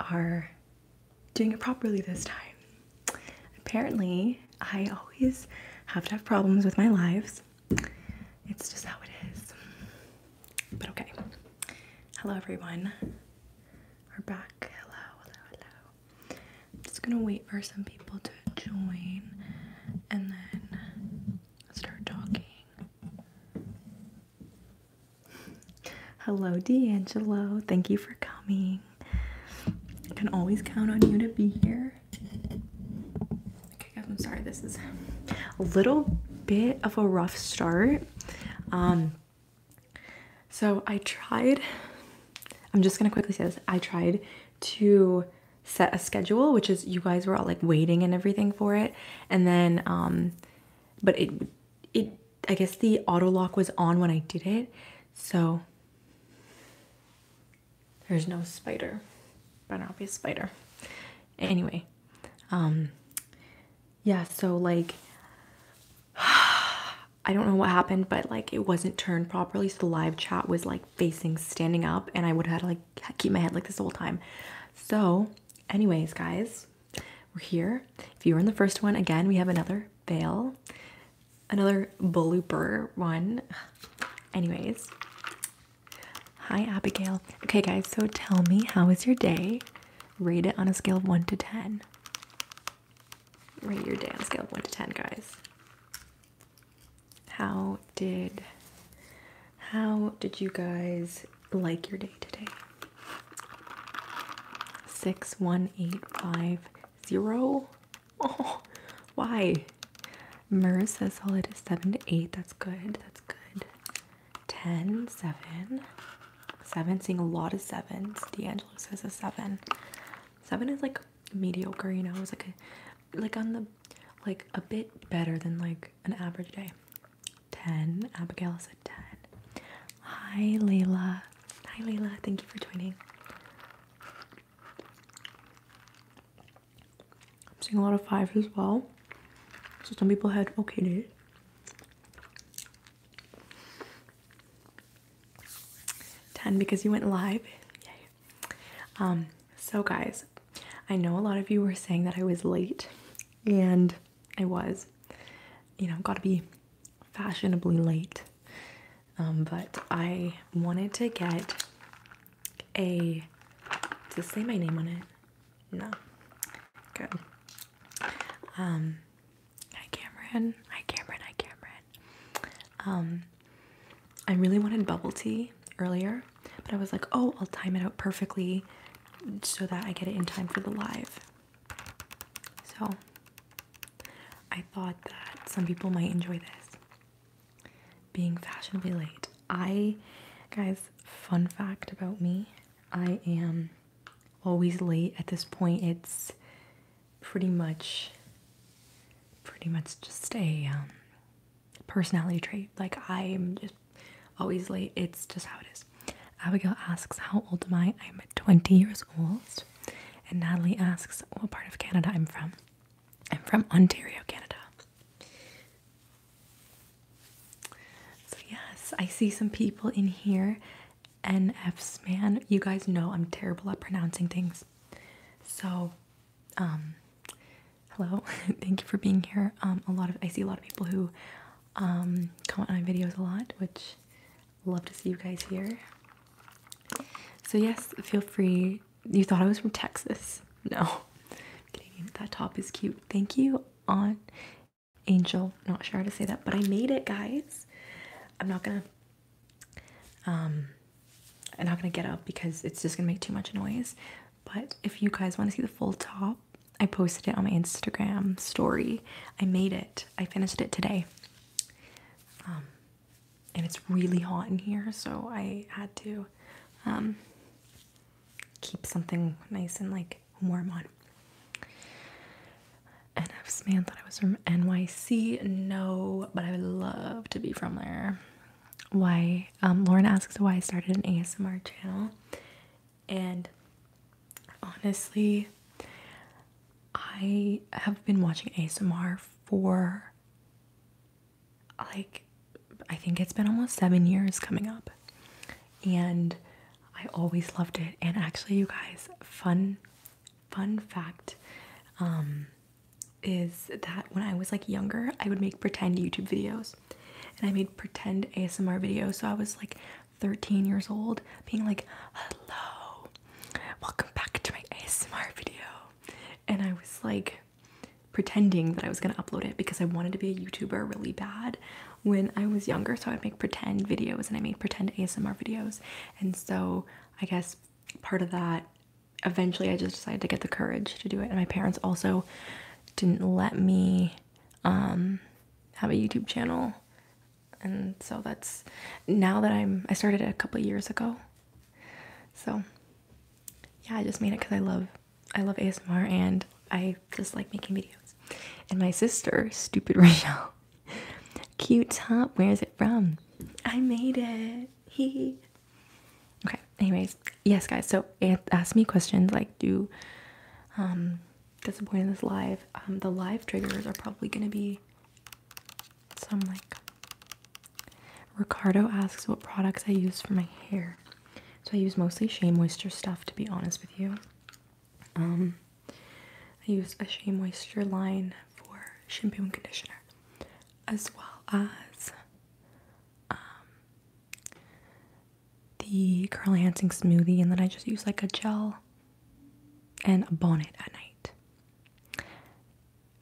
are doing it properly this time. Apparently, I always have to have problems with my lives. It's just how it is. But okay. Hello, everyone. We're back. Hello, hello, just gonna wait for some people to join and then start talking. Hello, D'Angelo. Thank you for coming. I can always count on you to be here. I'm sorry. This is a little bit of a rough start. Um, so I tried, I'm just gonna quickly say this. I tried to set a schedule, which is you guys were all like waiting and everything for it. And then, um, but it, it I guess the auto lock was on when I did it, so there's no spider. Better not be a spider. Anyway, um, yeah, so like, I don't know what happened, but like it wasn't turned properly, so the live chat was like facing standing up, and I would have had to like keep my head like this whole time. So, anyways, guys, we're here. If you were in the first one, again, we have another veil, another blooper one. Anyways, hi Abigail. Okay, guys, so tell me, how was your day? Rate it on a scale of 1 to 10. Rate your day on a scale of 1 to 10, guys. How did how did you guys like your day today? 61850. Oh, why? Murs says solid is 7 to 8. That's good. That's good. 10, 7. 7, seeing a lot of 7s. D'Angelo says a 7. 7 is like mediocre, you know? It's like a, like on the, like a bit better than like an average day. 10. Abigail said 10. Hi, Layla. Hi, Layla. Thank you for joining. I'm seeing a lot of fives as well. So some people had okayed it. Ten because you went live. Yay. Um, so guys, I know a lot of you were saying that I was late, and I was. You know, gotta be fashionably late. Um, but I wanted to get a. to say my name on it? No. Good. Um, hi Cameron. Hi Cameron. Hi Cameron. Um, I really wanted bubble tea earlier, but I was like, oh, I'll time it out perfectly so that I get it in time for the live. So I thought that some people might enjoy this. Being fashionably late. I, guys, fun fact about me I am always late at this point. It's pretty much, pretty much just a um, personality trait. Like, I'm just always late. It's just how it is. Abigail asks, How old am I? I'm 20 years old. And Natalie asks, What part of Canada I'm from? I'm from Ontario, Canada. yes, I see some people in here. NF's man. You guys know I'm terrible at pronouncing things. So, um, hello. Thank you for being here. Um, a lot of I see a lot of people who um, comment on my videos a lot, which Love to see you guys here. So, yes, feel free. You thought I was from Texas. No. That top is cute. Thank you, Aunt Angel. Not sure how to say that, but I made it, guys. I'm not gonna um I'm not gonna get up because it's just gonna make too much noise. But if you guys want to see the full top, I posted it on my Instagram story. I made it. I finished it today. Um, and it's really hot in here, so I had to um, keep something nice and like warm on. And NF man thought I was from NYC. No, but I would love to be from there. Why? Um, Lauren asks why I started an ASMR channel and honestly, I have been watching ASMR for like I think it's been almost seven years coming up, and I always loved it. And actually, you guys, fun fun fact um, is that when I was like younger, I would make pretend YouTube videos and I made pretend ASMR videos. So I was like 13 years old being like, hello, welcome back to my ASMR video. And I was like pretending that I was gonna upload it because I wanted to be a YouTuber really bad when I was younger. So I'd make pretend videos and I made pretend ASMR videos. And so I guess part of that, eventually I just decided to get the courage to do it. And my parents also didn't let me um, have a YouTube channel and so that's now that I'm I started it a couple years ago. So yeah, I just made it because I love I love ASMR and I just like making videos. And my sister, stupid Rachel, cute top, where is it from? I made it. He. okay. Anyways, yes, guys. So ask me questions like do um that's this live. Um, the live triggers are probably gonna be some like Ricardo asks what products I use for my hair. So I use mostly Shea Moisture stuff to be honest with you. Um I use a Shea Moisture line for shampoo and conditioner as well as um the Curl Enhancing Smoothie and then I just use like a gel and a bonnet at night.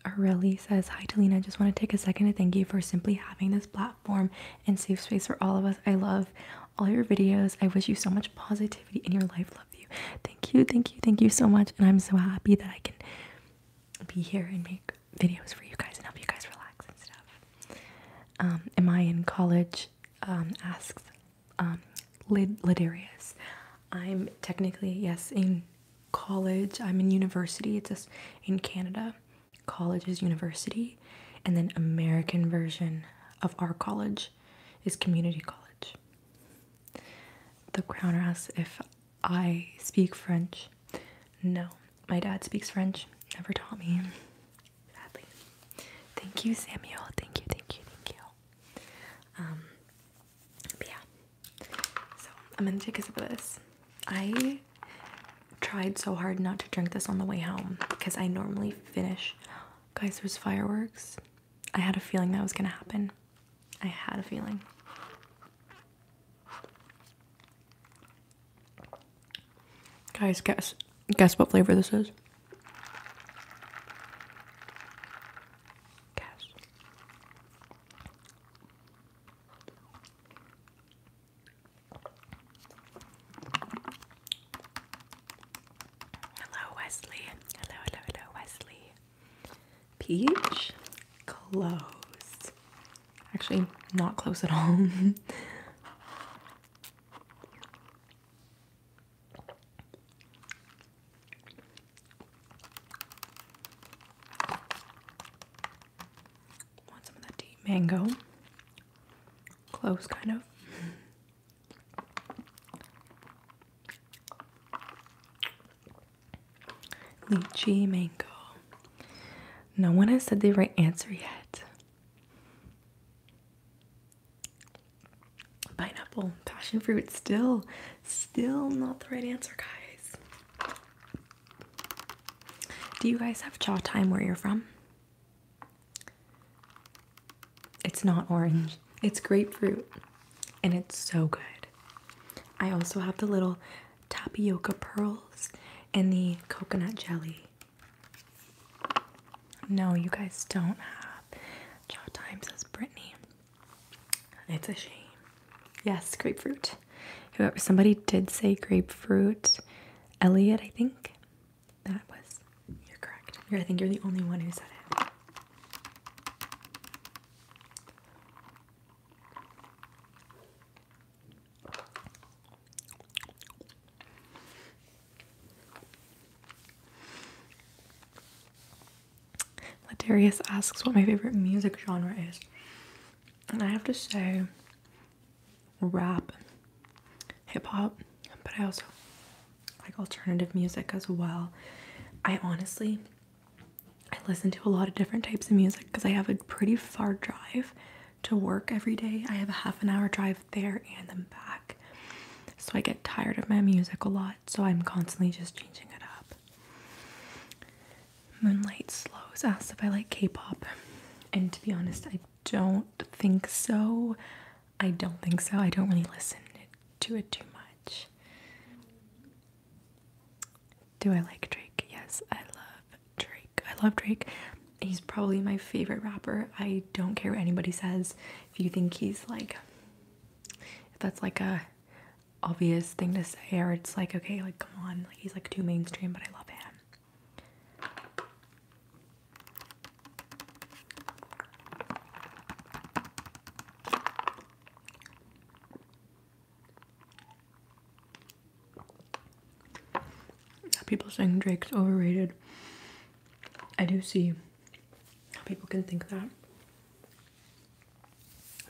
Areli says, Hi, Talina. I just want to take a second to thank you for simply having this platform and safe space for all of us. I love all your videos. I wish you so much positivity in your life. Love you. Thank you, thank you, thank you so much. And I'm so happy that I can be here and make videos for you guys and help you guys relax and stuff. am um, I in college? Um, asks, um, lid Lidarius. I'm technically yes in college. I'm in university. It's just in Canada. College is university, and then American version of our college is community college. The Crowner asks if I speak French. No, my dad speaks French. Never taught me. Sadly. Thank you, Samuel. Thank you, thank you, thank you. Um, yeah, so I'm gonna take a sip of this. I tried so hard not to drink this on the way home because I normally finish. Guys, there's fireworks. I had a feeling that was gonna happen. I had a feeling. Guys, guess guess what flavor this is? Hello, Wesley. Hello, hello, hello, Wesley. Peach, close. Actually, not close at all. Want some of that deep mango. Close, kind of. Lychee mango. No one has said the right answer yet. Pineapple, passion fruit, still, still not the right answer, guys. Do you guys have chow time where you're from? It's not orange, it's grapefruit, and it's so good. I also have the little tapioca pearls and the coconut jelly. No, you guys don't have up. Chow Time says Brittany. It's a shame. Yes, grapefruit. Whoever somebody did say grapefruit. Elliot, I think. That was you're correct. you I think you're the only one who said it. Latarius asks what my favorite music genre is. And I have to say rap, hip hop, but I also like alternative music as well. I honestly I listen to a lot of different types of music because I have a pretty far drive to work every day. I have a half an hour drive there and then back. So I get tired of my music a lot so I'm constantly just changing it up. Moonlight Slows asked if I like K pop, and to be honest, I don't think so. I don't think so. I don't really listen to it too much. Do I like Drake? Yes, I love Drake. I love Drake. He's probably my favorite rapper. I don't care what anybody says. If you think he's like if that's like a obvious thing to say, or it's like, okay, like, come on, like, he's like too mainstream, but I love him. People saying Drake's overrated. I do see how people can think that.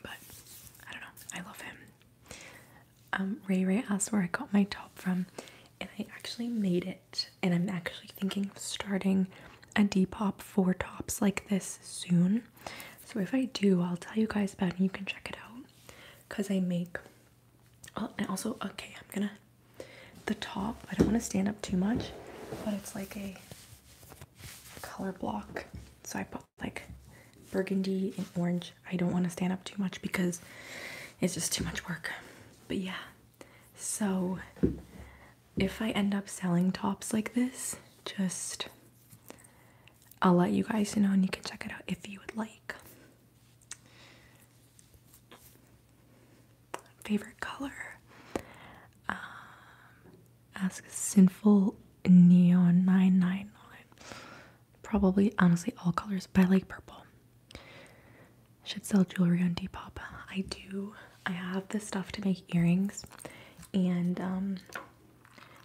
But I don't know. I love him. Um, Ray Ray asked where I got my top from, and I actually made it. And I'm actually thinking of starting a Depop for tops like this soon. So if I do, I'll tell you guys about it and you can check it out. Cause I make. Oh, and also, okay, I'm gonna the top, I don't want to stand up too much, but it's like a color block. So I put like burgundy and orange. I don't want to stand up too much because it's just too much work. But yeah, so if I end up selling tops like this, just I'll let you guys know and you can check it out if you would like favorite color. Um, ask Sinful Neon 999. Probably, honestly, all colors, but I like purple. Should sell jewelry on Depop. I do. I have the stuff to make earrings, and um,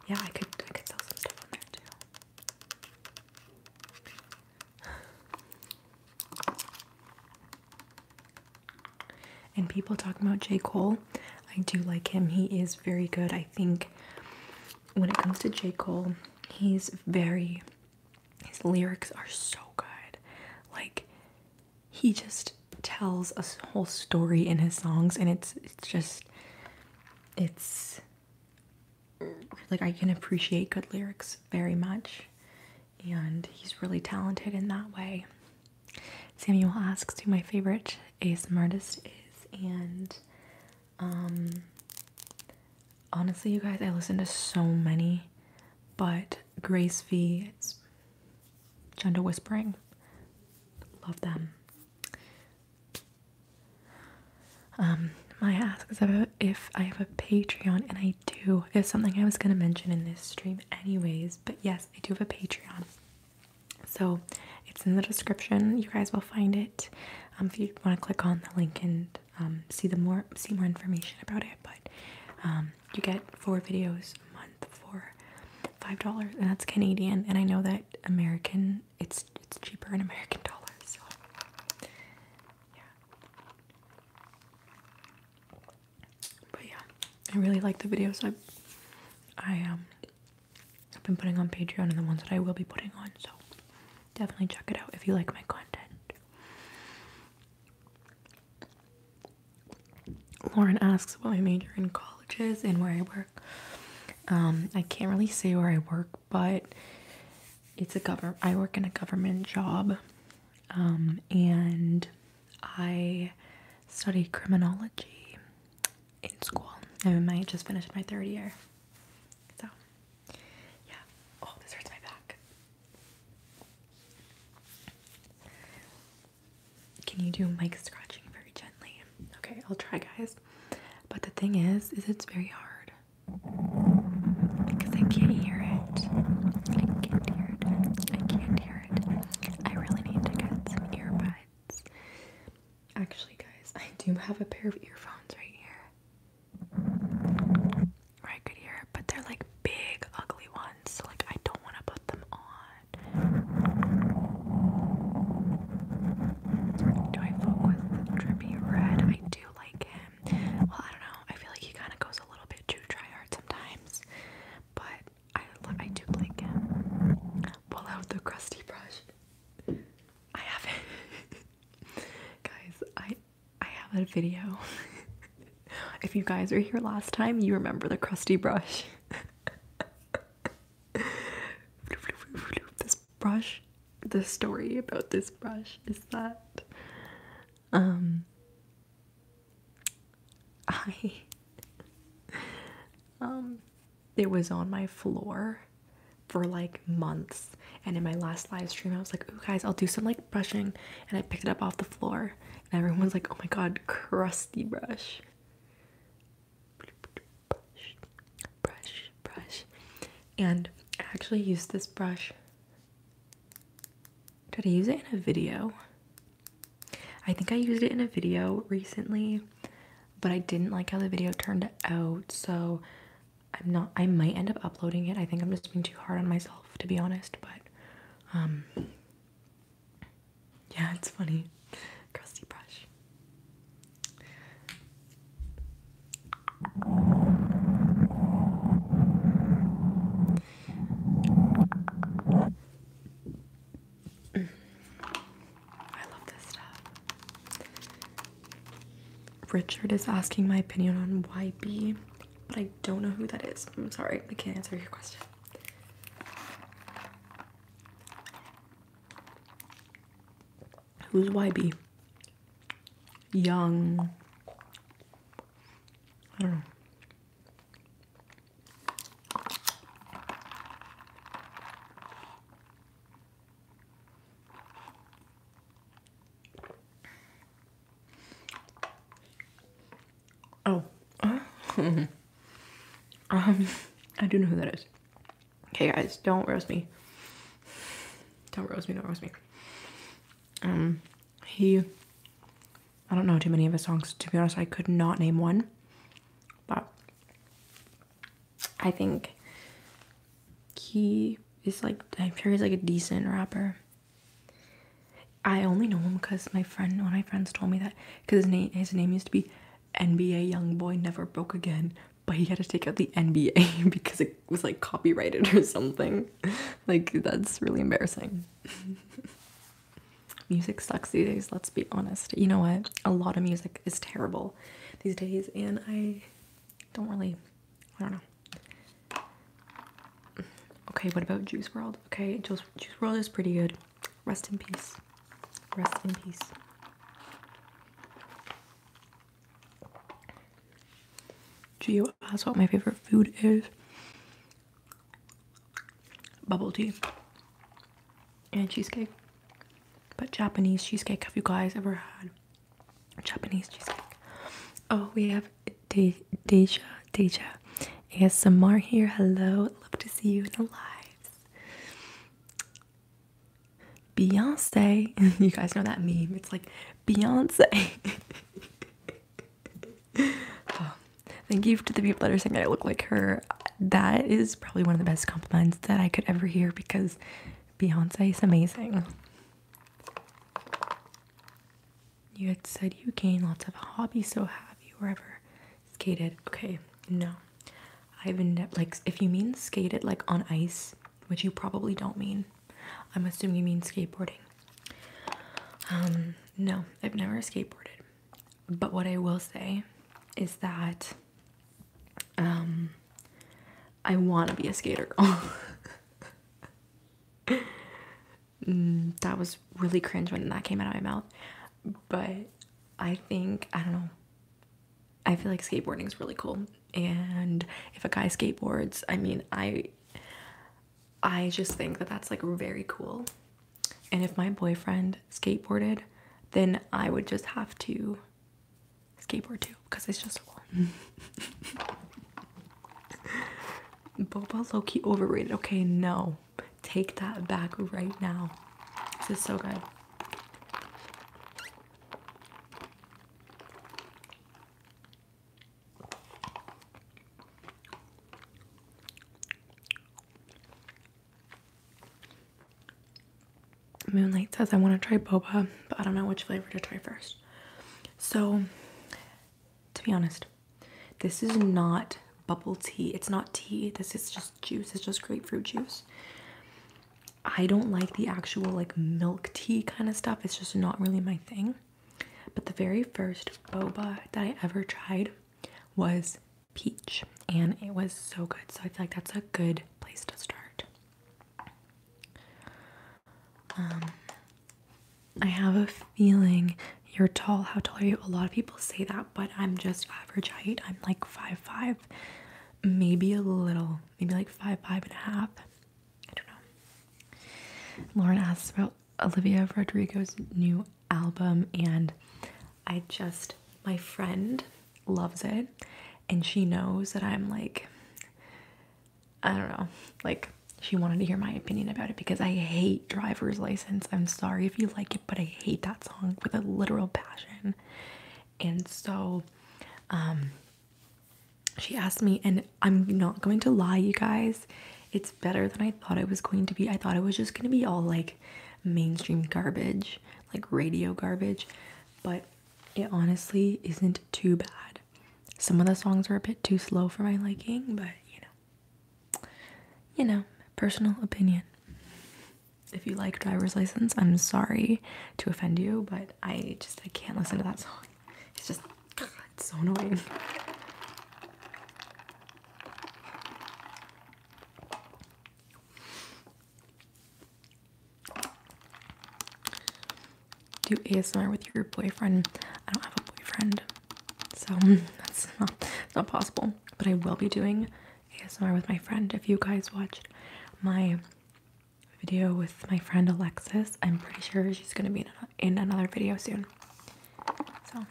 yeah, I could I could sell some stuff on there too. And people talking about J. Cole, I do like him. He is very good. I think when it comes to J. Cole, he's very, his lyrics are so good. Like, he just tells a whole story in his songs, and it's, it's just, it's like I can appreciate good lyrics very much and he's really talented in that way. Samuel asks who my favorite ASMR artist is, and um, honestly, you guys, I listen to so many, but Grace V, it's Gender Whispering, love them. Um, my ask is about if I have a Patreon, and I do. It's something I was gonna mention in this stream anyways, but yes, I do have a Patreon. So it's in the description. You guys will find it. Um, if you want to click on the link and um, see the more see more information about it, but um, you get four videos a month for five dollars, and that's Canadian. And I know that American, it's it's cheaper in American dollars. yeah. But yeah, I really like the videos I I um I've been putting on Patreon and the ones that I will be putting on, so definitely check it out if you like my content. Lauren asks what my major in college is and where I work. Um, I can't really say where I work, but it's a government. I work in a government job, um, and I studied criminology in school. And I just finished my third year. So, yeah. Oh, this hurts my back. Can you do mic scratching very gently? Okay, I'll try, guys. But the thing is, is it's very hard because I can't hear it. I can't hear it. I can't hear I really need to get some earbuds. Actually, guys, I do have a pair of earphones right here. Or I could but they're like big, ugly ones, so like I don't want to put them on. Do I focus with Red? I do like him. Well, I don't know. I feel like he kind of goes a little bit too tryhard sometimes, but I love, I do like it. Pull out the crusty brush. I have it, guys. I I have a video. if you guys were here last time, you remember the crusty brush. this brush, the story about this brush is that um I um it was on my floor for like months and in my last live stream I was like, "Oh guys, I'll do some like brushing." And I picked it up off the floor and everyone was like, "Oh my god, crusty brush." Brush, brush, brush. And I actually used this brush did I use it in a video? I think I used it in a video recently, but I didn't like how the video turned out, so I'm not I might end up uploading it. I think I'm just being too hard on myself to be honest, but um yeah, it's funny. Crusty brush. I love this stuff. Richard is asking my opinion on YB, but I don't know who that is. I'm sorry, I can't answer your question. Who's YB? Young. I don't know. Oh, um, I do know who that is. Okay, guys, don't roast me. Don't roast me. Don't roast me. Um. He, I don't know too many of his songs. To be honest, I could not name one. But I think he is like, I'm sure he's like a decent rapper. I only know him because my friend, one of my friends told me that because his name, his name used to be NBA Young Boy Never Broke Again, but he had to take out the NBA because it was like copyrighted or something. Like that's really embarrassing. music sucks these days let's be honest you know what a lot of music is terrible these days and i don't really i don't know okay what about juice world okay juice, juice world is pretty good rest in peace rest in peace Geo asked what my favorite food is bubble tea and cheesecake. But Japanese cheesecake, have you guys ever had Japanese cheesecake? Oh, we have Deja Deja, Deja ASMR here. Hello, love to see you in the lives. Beyonce, you guys know that meme. It's like Beyonce. thank you to the people that are saying that I look like her. That is probably one of the best compliments that I could ever hear because Beyonce is amazing. You had said you gain lots of hobbies, so have you ever skated? Okay, no. I've never, like, if you mean skated, like on ice, which you probably don't mean, I'm assuming you mean skateboarding. Um, no, I've never skateboarded. But what I will say is that um, I want to be a skater mm, that was really cringe when that came out of my mouth. But I think, I don't know, I feel like skateboarding is really cool. And if a guy skateboards, I mean, I I just think that that's like very cool. And if my boyfriend skateboarded, then I would just have to skateboard too because it's just cool. Boba Loki overrated. Okay, no. Take that back right now. This is so good. Moonlight says I want to try boba, but I don't know which flavor to try first. So, to be honest, this is not bubble tea. It's not tea. This is just juice. It's just grapefruit juice. I don't like the actual like milk tea kind of stuff. It's just not really my thing. But the very first boba that I ever tried was peach, and it was so good. So I feel like that's a good place to start. Um, I have a feeling you're tall. How tall are you? A lot of people say that, but I'm just average height. I'm like five five, maybe a little, maybe like five five and a half. I don't know. Lauren asks about Olivia Rodrigo's new album, and I just, my friend loves it, and she knows that I'm like, I don't know, like she wanted to hear my opinion about it because I hate Driver's License. I'm sorry if you like it, but I hate that song with a literal passion. And so, um, she asked me, and I'm not going to lie, you guys, it's better than I thought it was going to be. I thought it was just going to be all like mainstream garbage, like radio garbage, but it honestly isn't too bad. Some of the songs are a bit too slow for my liking, but you know, you know, personal opinion. If you like driver's license, I'm sorry to offend you, but I just I can't listen to that song. It's just it's so annoying. Do ASMR with your boyfriend. I don't have a boyfriend, so that's not, possible. But I will be doing ASMR with my friend. If you guys watched my video with my friend Alexis, I'm pretty sure she's gonna be in, in another video soon. So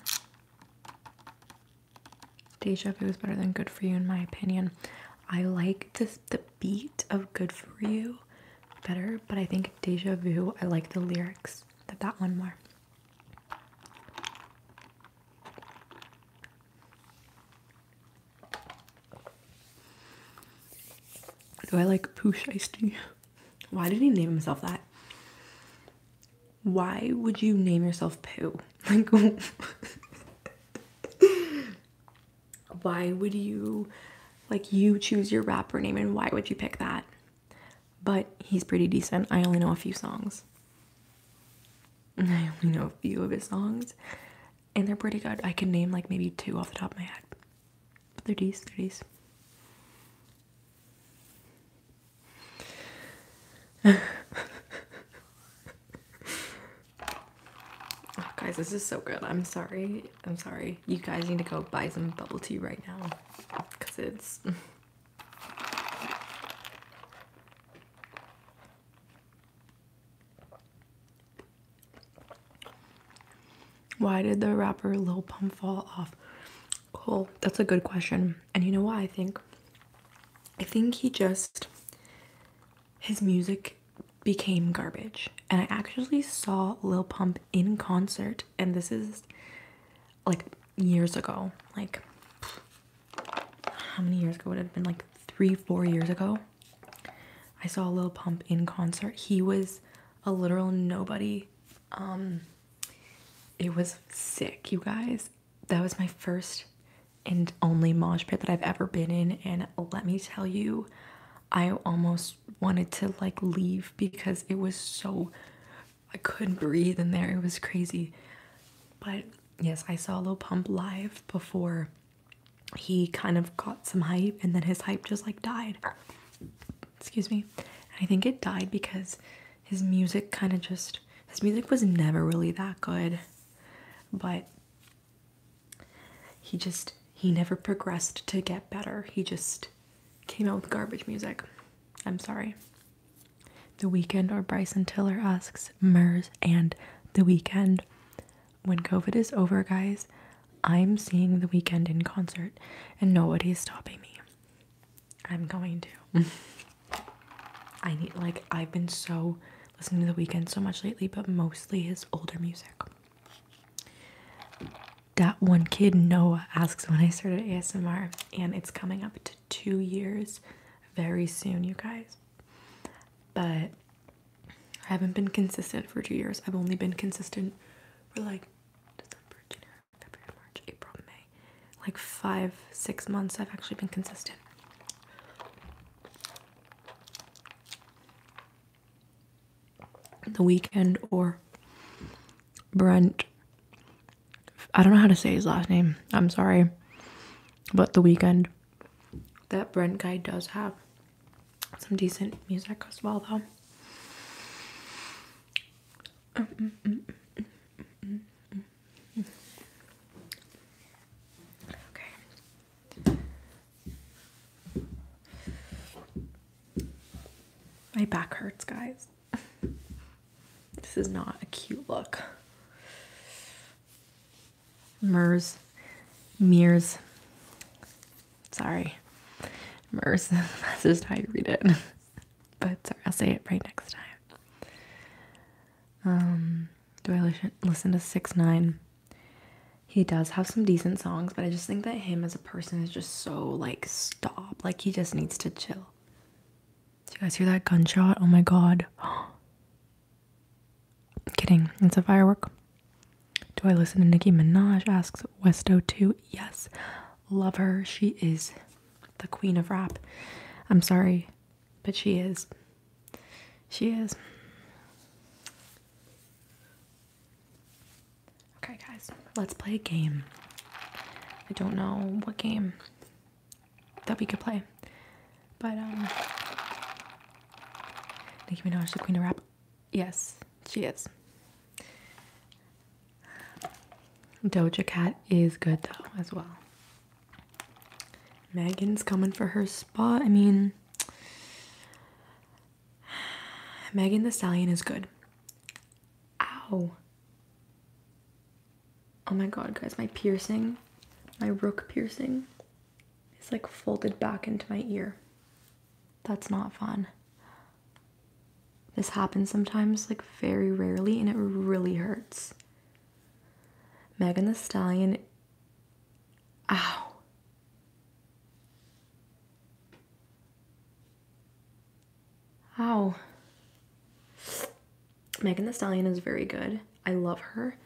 Deja Vu is better than Good For You in my opinion. I like this, the beat of Good For You better, but I think Deja Vu, I like the lyrics that that one more. Do I like Ice Shiesty? Why did he name himself that? why would you name yourself Pooh? Like, why would you, like, you choose your rapper name and why would you pick that? But he's pretty decent. I only know a few songs. I only know a few of his songs, and they're pretty good. I can name like maybe two off the top of my head, but they're these, Oh, guys, this is so good. I'm sorry. I'm sorry. You guys need to go buy some bubble tea right now because it's. Why did the rapper Lil Pump fall off? Cool. That's a good question. And you know why I think? I think he just his music became garbage. And I actually saw Lil Pump in concert and this is like years ago. Like how many years ago would it have been like 3 4 years ago? I saw Lil Pump in concert. He was a literal nobody. Um it was sick, you guys that was my first and only mosh pit that I've ever been in and let me tell you I almost wanted to like leave because it was so I couldn't breathe in there it was crazy but yes I saw Lil Pump live before he kind of got some hype and then his hype just like died excuse me I think it died because his music kind of just his music was never really that good but he just he never progressed to get better he just came out with garbage music i'm sorry the weekend or bryson tiller asks Murs and the weekend when covid is over guys i'm seeing the weekend in concert and nobody is stopping me i'm going to I need like I've been so listening to the weekend so much lately, but mostly his older music. That one kid Noah asks when I started ASMR, and it's coming up to two years very soon, you guys. But I haven't been consistent for two years. I've only been consistent for like February, March, April, May. Like five, six months, I've actually been consistent. The Weekend or Brent. I don't know how to say his last name. I'm sorry. But The Weekend. That Brent guy does have some decent music as well, though. Mm, mm, mm, Okay. My back hurts, guys. This is not a cute look. Mers, mirrors. Sorry, Mers. That's just how you read it but sorry, I'll say it right next time. Um, do I listen listen to Six Nine? He does have some decent songs, but I just think that him as a person is just so like stop. Like he just needs to chill. Do you guys hear that gunshot? Oh my god. I'm kidding. It's a firework. Do I listen to Nicki Minaj? Asks Westo2. Yes. Love her. She is the queen of rap. I'm sorry, but she is. She is. Okay, guys, let's play a game. I don't know what game that we could play, but um, Nicki Minaj, the queen of rap. Yes, she is. Doja Cat is good though, as well. Megan's coming for her spot. I mean, Megan the Stallion is good. Ow. Oh my god, guys, my piercing, my rook piercing, is like folded back into my ear. That's not fun. This happens sometimes, like very rarely, and it really hurts. Megan the Stallion. Ow. Ow. Megan the Stallion is very good. I love her.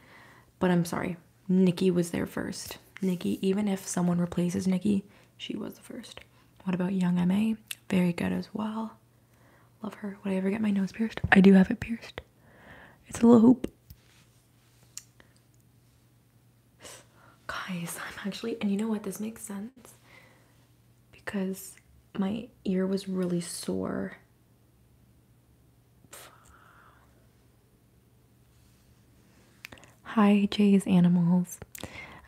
But I'm sorry. Nikki was there first. Nikki, even if someone replaces Nikki, she was the first. What about Young MA? Very good as well. Love her. Would I ever get my nose pierced? I do have it pierced. It's a little hoop. Guys, I'm actually, and you know what? This makes sense because my ear was really sore. Hi, Jay's Animals.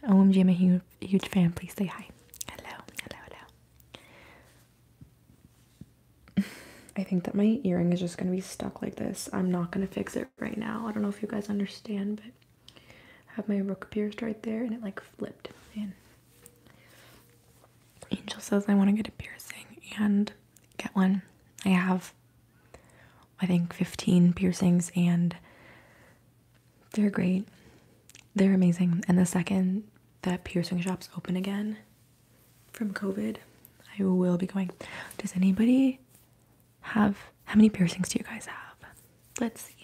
OMG, I'm a huge, huge fan. Please say hi. Hello, hello, hello. I think that my earring is just gonna be stuck like this. I'm not gonna fix it right now. I don't know if you guys understand, but I have my rook pierced right there and it like flipped. And Angel says I wanna get a piercing and get one. I have, I think, 15 piercings and they're great. They're amazing. And the second that piercing shop's open again from COVID. I will be going. Does anybody have how many piercings do you guys have? Let's see.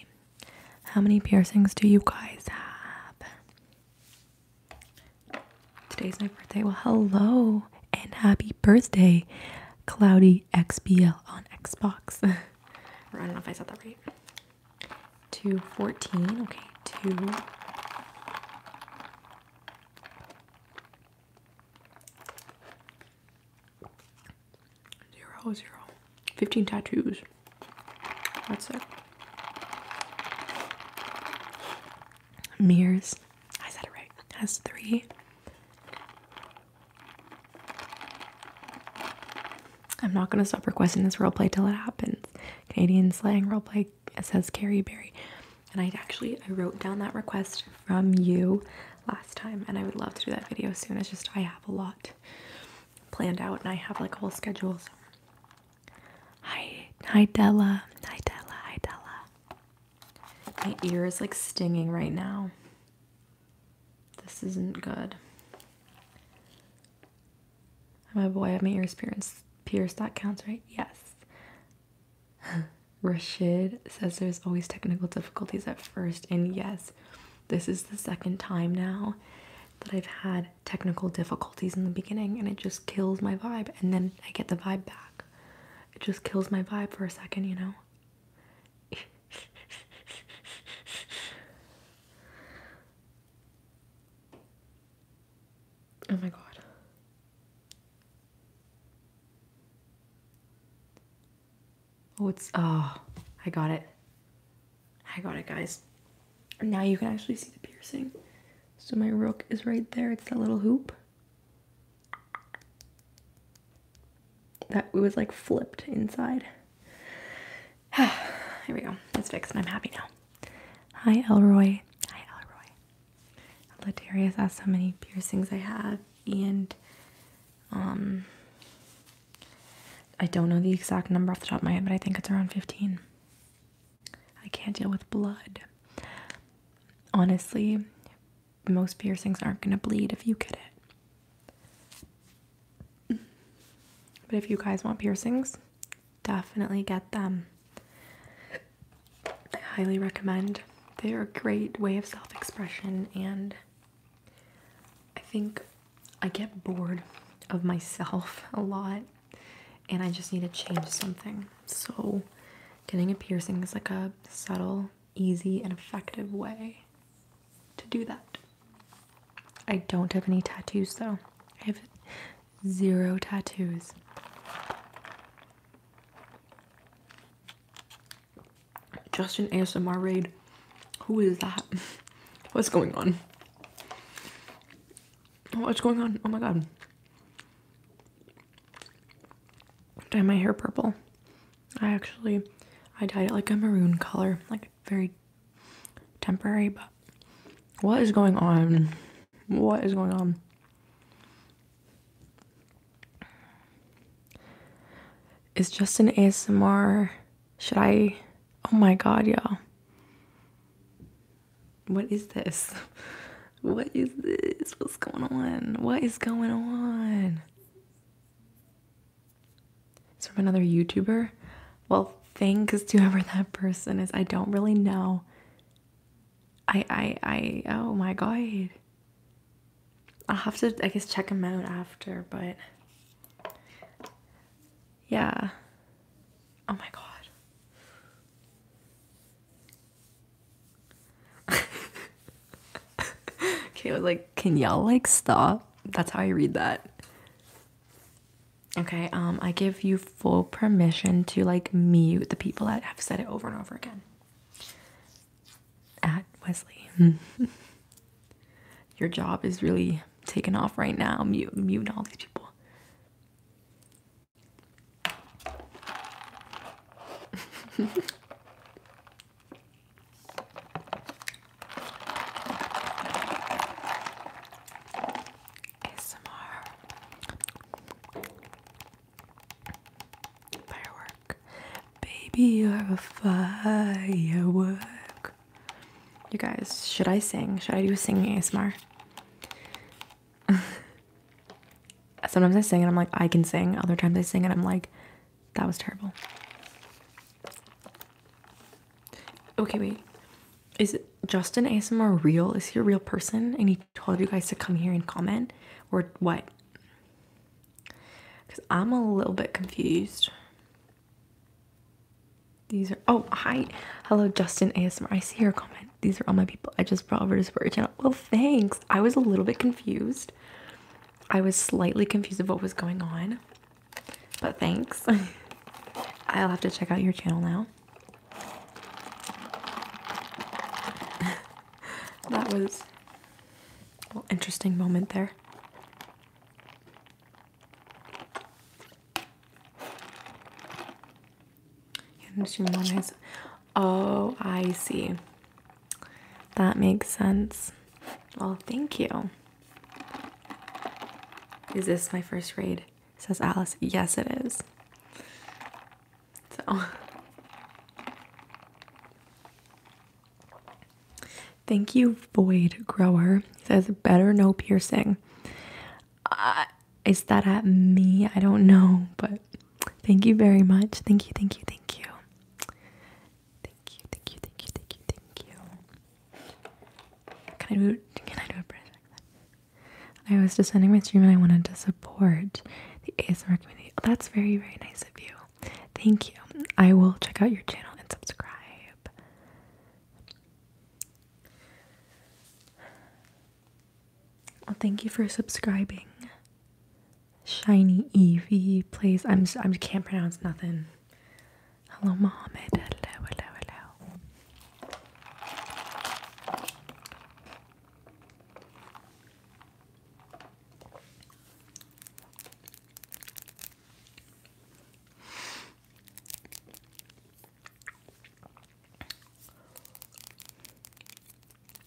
How many piercings do you guys have? Today's my birthday. Well, hello and happy birthday, Cloudy XBL on Xbox. I don't know if I said that right. Two fourteen. Okay, 2. Zero, zero. 15 tattoos. That's it. Mirrors. I said it right. Has three. I'm not gonna stop requesting this roleplay till it happens. Canadian slang roleplay says Carrie Barry, And I actually I wrote down that request from you last time and I would love to do that video soon. It's just I have a lot planned out and I have like whole schedules. Hi hi Della. Hi Della hi Della. My ear is like stinging right now. This isn't good. My boy, I have my ears pierced. Pierced, that counts, right? Yes. Rashid says there's always technical difficulties at first, and yes, this is the second time now that I've had technical difficulties in the beginning, and it just kills my vibe, and then I get the vibe back. It just kills my vibe for a second, you know? Oh my god. Oh, it's, oh, I got it. I got it, guys. Now you can actually see the piercing. So my rook is right there. It's that little hoop. That was like flipped inside. Here we go. It's fixed and I'm happy now. Hi, Elroy. Hi, Elroy. Latarius asked how many piercings I have, and um, I don't know the exact number off the top of my head, but I think it's around 15. I can't deal with blood. Honestly, most piercings aren't going to bleed if you get it. But if you guys want piercings, definitely get them. I highly recommend. They are a great way of self expression, and I think I get bored of myself a lot and I just need to change something. So, getting a piercing is like a subtle, easy, and effective way to do that. I don't have any tattoos though. I have zero tattoos. Just an ASMR raid. Who is that? What's going on? What's going on? Oh my god. Dye my hair purple. I actually I dyed it like a maroon color. Like very temporary, but what is going on? What is going on? Is an ASMR? Should I? Oh my god, y'all. What is this? What is this? What's going on? What is going on? It's from another YouTuber well thanks to whoever that person is i don't really know i i i oh my god i'll have to i guess check him out after but yeah oh my god okay was like can y'all like stop that's how i read that Okay, um, I give you full permission to like mute the people that have said it over and over again. At Wesley, your job is really taken off right now. Mute, mute all these people. ASMR Firework Baby you're a firework You guys, should I sing? Should I do singing ASMR? Sometimes I sing and I'm like, I can sing. Other times I sing and I'm like, that was terrible. Okay, wait. Is Justin ASMR real? Is he a real person? And he told you guys to come here and comment? Or what? Because I'm a little bit confused. These are. Oh, hi. Hello, Justin ASMR. I see your comment. These are all my people. I just brought over to support your channel. Well, thanks. I was a little bit confused. I was slightly confused of what was going on. But thanks. I'll have to check out your channel now. that was an interesting moment there. Oh, I see. That makes sense. Well, thank you. Is this my first raid? says Alice. Yes, it is. So, thank you, Void Grower. says, better no piercing. Uh, is that at me? I don't know, but thank you very much. Thank you, thank you, thank you. Thank you, thank you, thank you, thank you, Can I do? Can I do a breath? I was just descending my stream and I wanted to support the ASMR community. Oh, that's very, very nice of you. Thank you. I will check out your channel and subscribe. Well, thank you for subscribing. Shiny Evie plays. I'm. Just, I can't pronounce nothing. Hello, Mohammed. Hello, hello, hello.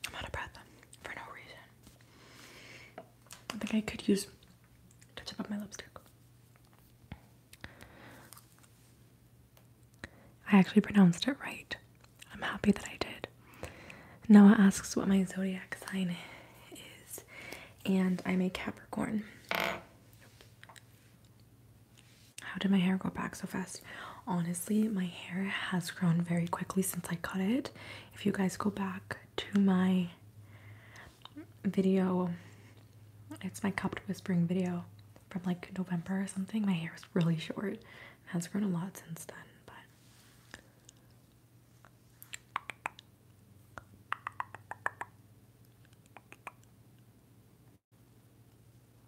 I'm out of breath for no reason. I think I could use touch up on my lipstick. I actually pronounced it right. I'm happy that I did. Noah asks what my zodiac sign is, and I'm a Capricorn. How did my hair go back so fast? Honestly, my hair has grown very quickly since I cut it. If you guys go back to my video it's my cupped whispering video from like November or something. My hair is really short. It has grown a lot since then, but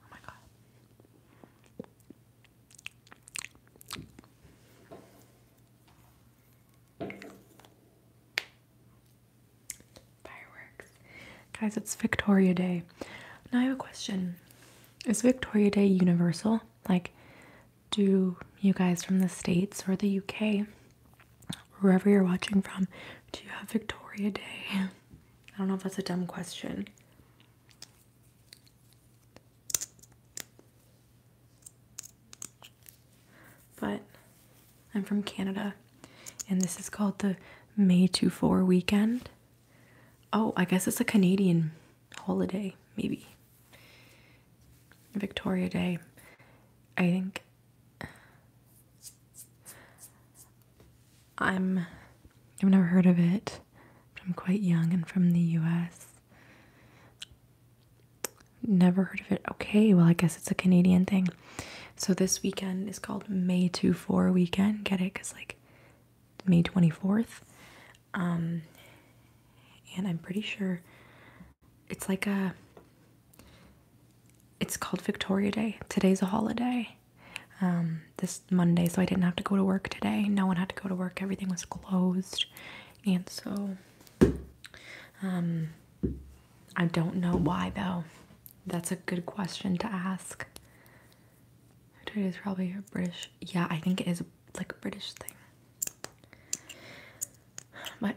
oh my god. Fireworks. Guys, it's Victoria Day. Now I have a question. Is Victoria Day universal? Like, do you guys from the States or the UK, wherever you're watching from, do you have Victoria Day? I don't know if that's a dumb question. But I'm from Canada, and this is called the May two Four weekend. Oh, I guess it's a Canadian holiday, maybe. Victoria Day. I think I'm I've never heard of it, I'm quite young and from the US. Never heard of it. Okay, well I guess it's a Canadian thing. So this weekend is called May 24 weekend. Get it? Cause like May 24th. Um, and I'm pretty sure it's like a. It's called Victoria Day. Today's a holiday. Um, this Monday, so I didn't have to go to work today. No one had to go to work. Everything was closed, and so um, I don't know why though. That's a good question to ask. It is probably a British. Yeah, I think it is like a British thing. But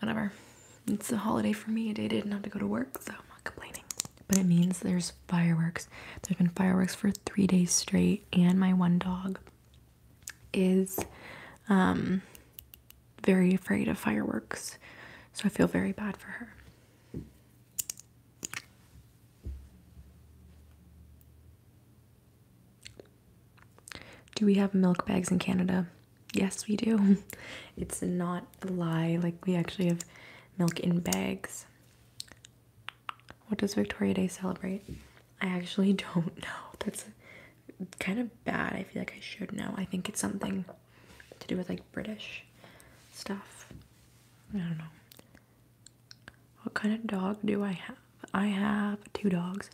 whatever. It's a holiday for me. They didn't have to go to work, so I'm not complaining. But it means there's fireworks. There's been fireworks for three days straight, and my one dog is um, very afraid of fireworks. So I feel very bad for her. Do we have milk bags in Canada? Yes, we do. It's not a lie. Like, we actually have milk in bags. What does Victoria Day celebrate? I actually don't know. That's kind of bad. I feel like I should know. I think it's something to do with like British stuff. I don't know. What kind of dog do I have? I have two dogs.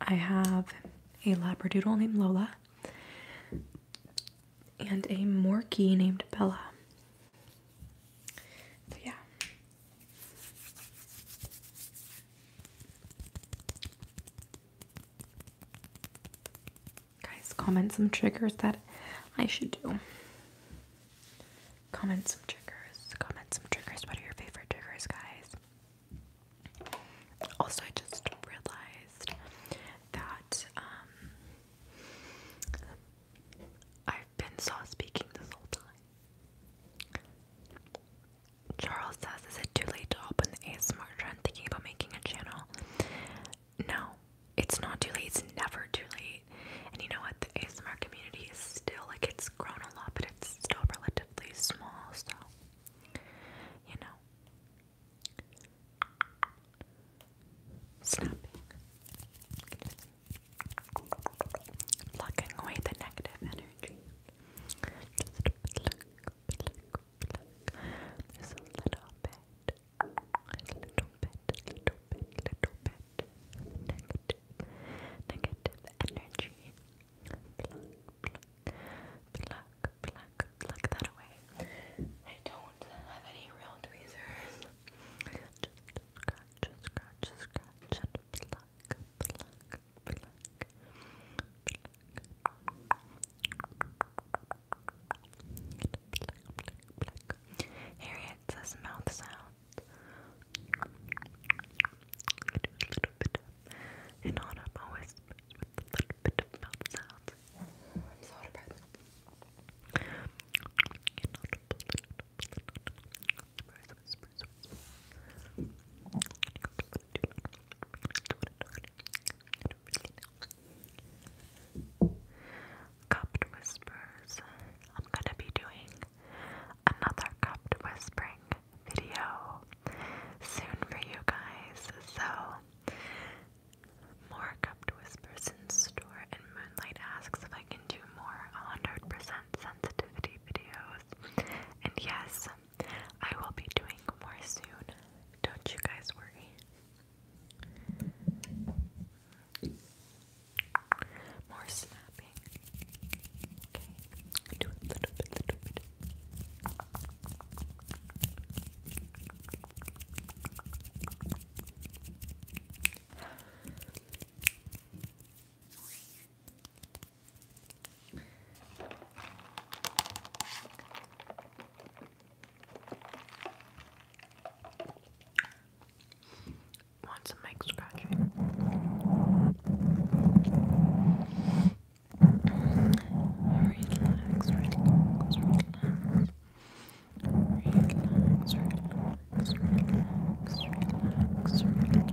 I have a Labradoodle named Lola and a Morkie named Bella. yeah. Guys, comment some triggers that I should do. Comment some triggers. Comment some triggers. What are your favorite triggers, guys? Also, I just realized that um, I've been soft speaking this whole time. Charles says is it too late to open the ASMR trend thinking about making a channel? No, it's not too late. It's never too late. And you know what? The ASMR community is still like it's grown a lot, but it's still relatively small. So, you know, snapping, plucking away the negative energy. Just pluck, pluck, pluck, Look, there's a little bit, a little bit, little bit, little bit negative, negative energy. Pluck, pluck, pluck, that away. I don't have any real tweezers. Just scratch, scratch, scratch, and pluck, pluck, pluck, pluck. Harriet says mouth sounds. I do a little always with a little bit of mouth sounds. Cupped whispers. I'm gonna be doing another cupped whispering video soon for you guys. So more cupped whispers in store and Moonlight asks if I can do more 100 sensitivity videos. And yes, I will be doing more soon. Don't you guys worry. More snapping. Okay, do a little bit, little bit. Want some mic scratching? Relax, relax, relax. Relax, relax, relax, relax, relax, relax, relax.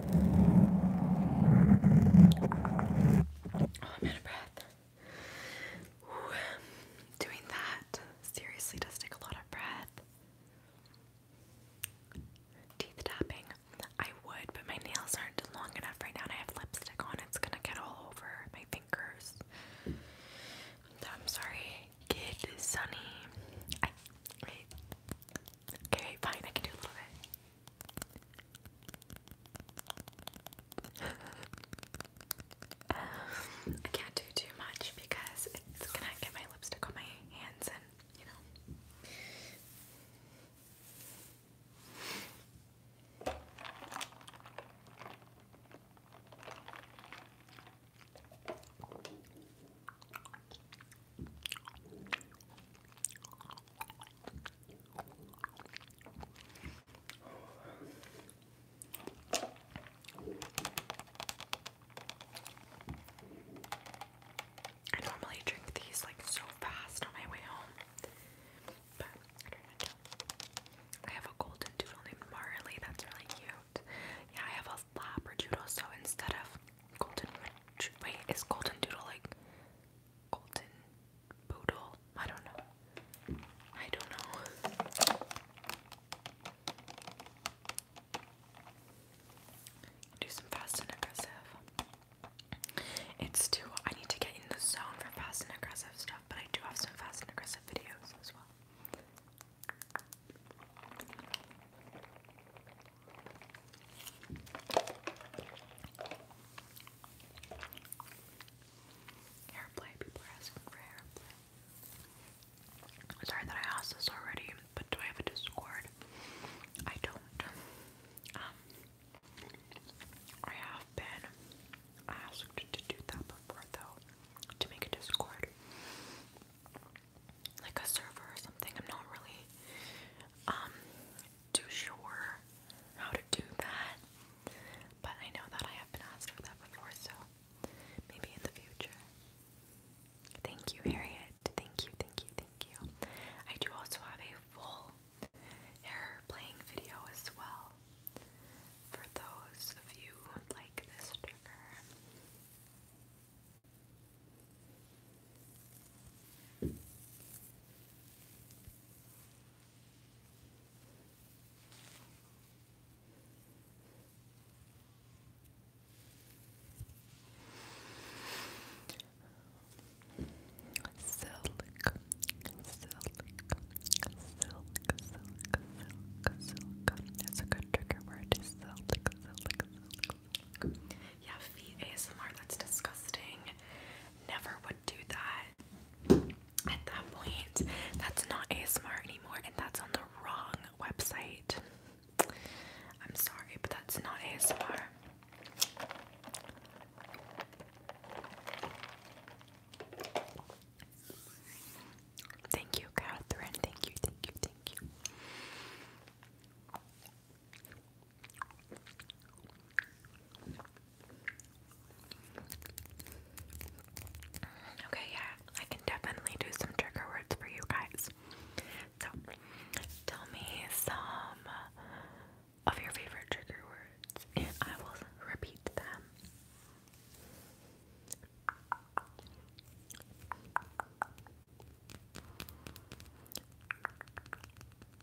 I'm out of breath. doing that seriously does take a lot of breath. Teeth tapping. I would, but my nails aren't long enough right now, and I have lipstick on. It's gonna get all over my fingers. I'm sorry, kid. Sunny. okay, fine. I can do a little bit. I can't do too much because it's gonna get my lipstick on my hands and you know. I normally drink these like so fast on my way home, but I have a golden doodle named Marley, that's really cute. Yeah, I have a labradoodle, so instead of golden, wait, is golden doodle like golden poodle. I don't know. I don't know. Do some fast and aggressive. It's too. I need to get in the zone for fast and aggressive stuff, but I do have some fast and aggressive videos as well. Airplay, people are asking for airplay. Sorry that I asked this already, but do I have a Discord? I don't. Um, I have been asked to do that before, though, to make a Discord. Like a server or something. I'm not really um too sure how to do that, but I know that I have been asked for that before, so maybe in the future. Thank you, Harriet. Thank you, thank you, thank you. I do also have a full hair video as well for those of you who like this trigger. Silk, silk, silk, silk, silk, silk. That's a good trigger word. Silk, silk, silk, yeah, feet ASMR, that's disgusting. Never would do that. At that point, that's not ASMR anymore, and that's on the wrong website. I'm sorry, but that's not ASMR. Thank you, Catherine. Thank you, thank you, thank you. Okay, yeah, I can definitely do some trigger words for you guys. So, tell me some of your favorite trigger words, and I will repeat them. Okay.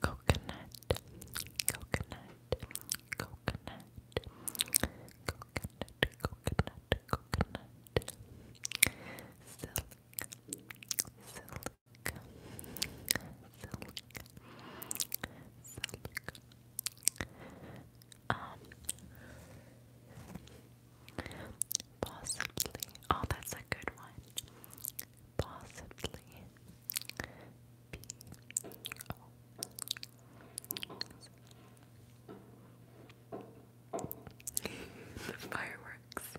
Coconut, coconut, coconut, coconut, coconut, coconut, silk, silk, silk, silk, um, possibly. Oh, that's a good one. Possibly. P oh. Fireworks.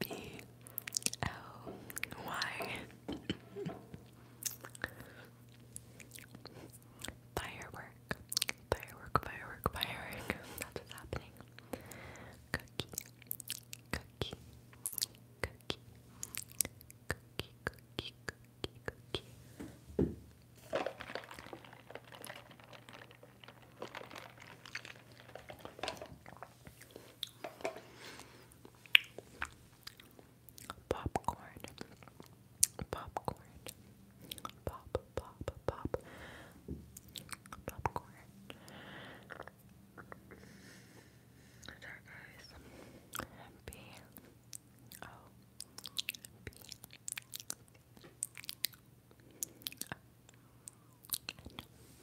P Oh, why? Firework, firework, firework, firework. That's what's happening. Cookie, cookie, cookie, cookie, cookie, cookie, cookie popcorn, popcorn, pop, pop, pop, popcorn.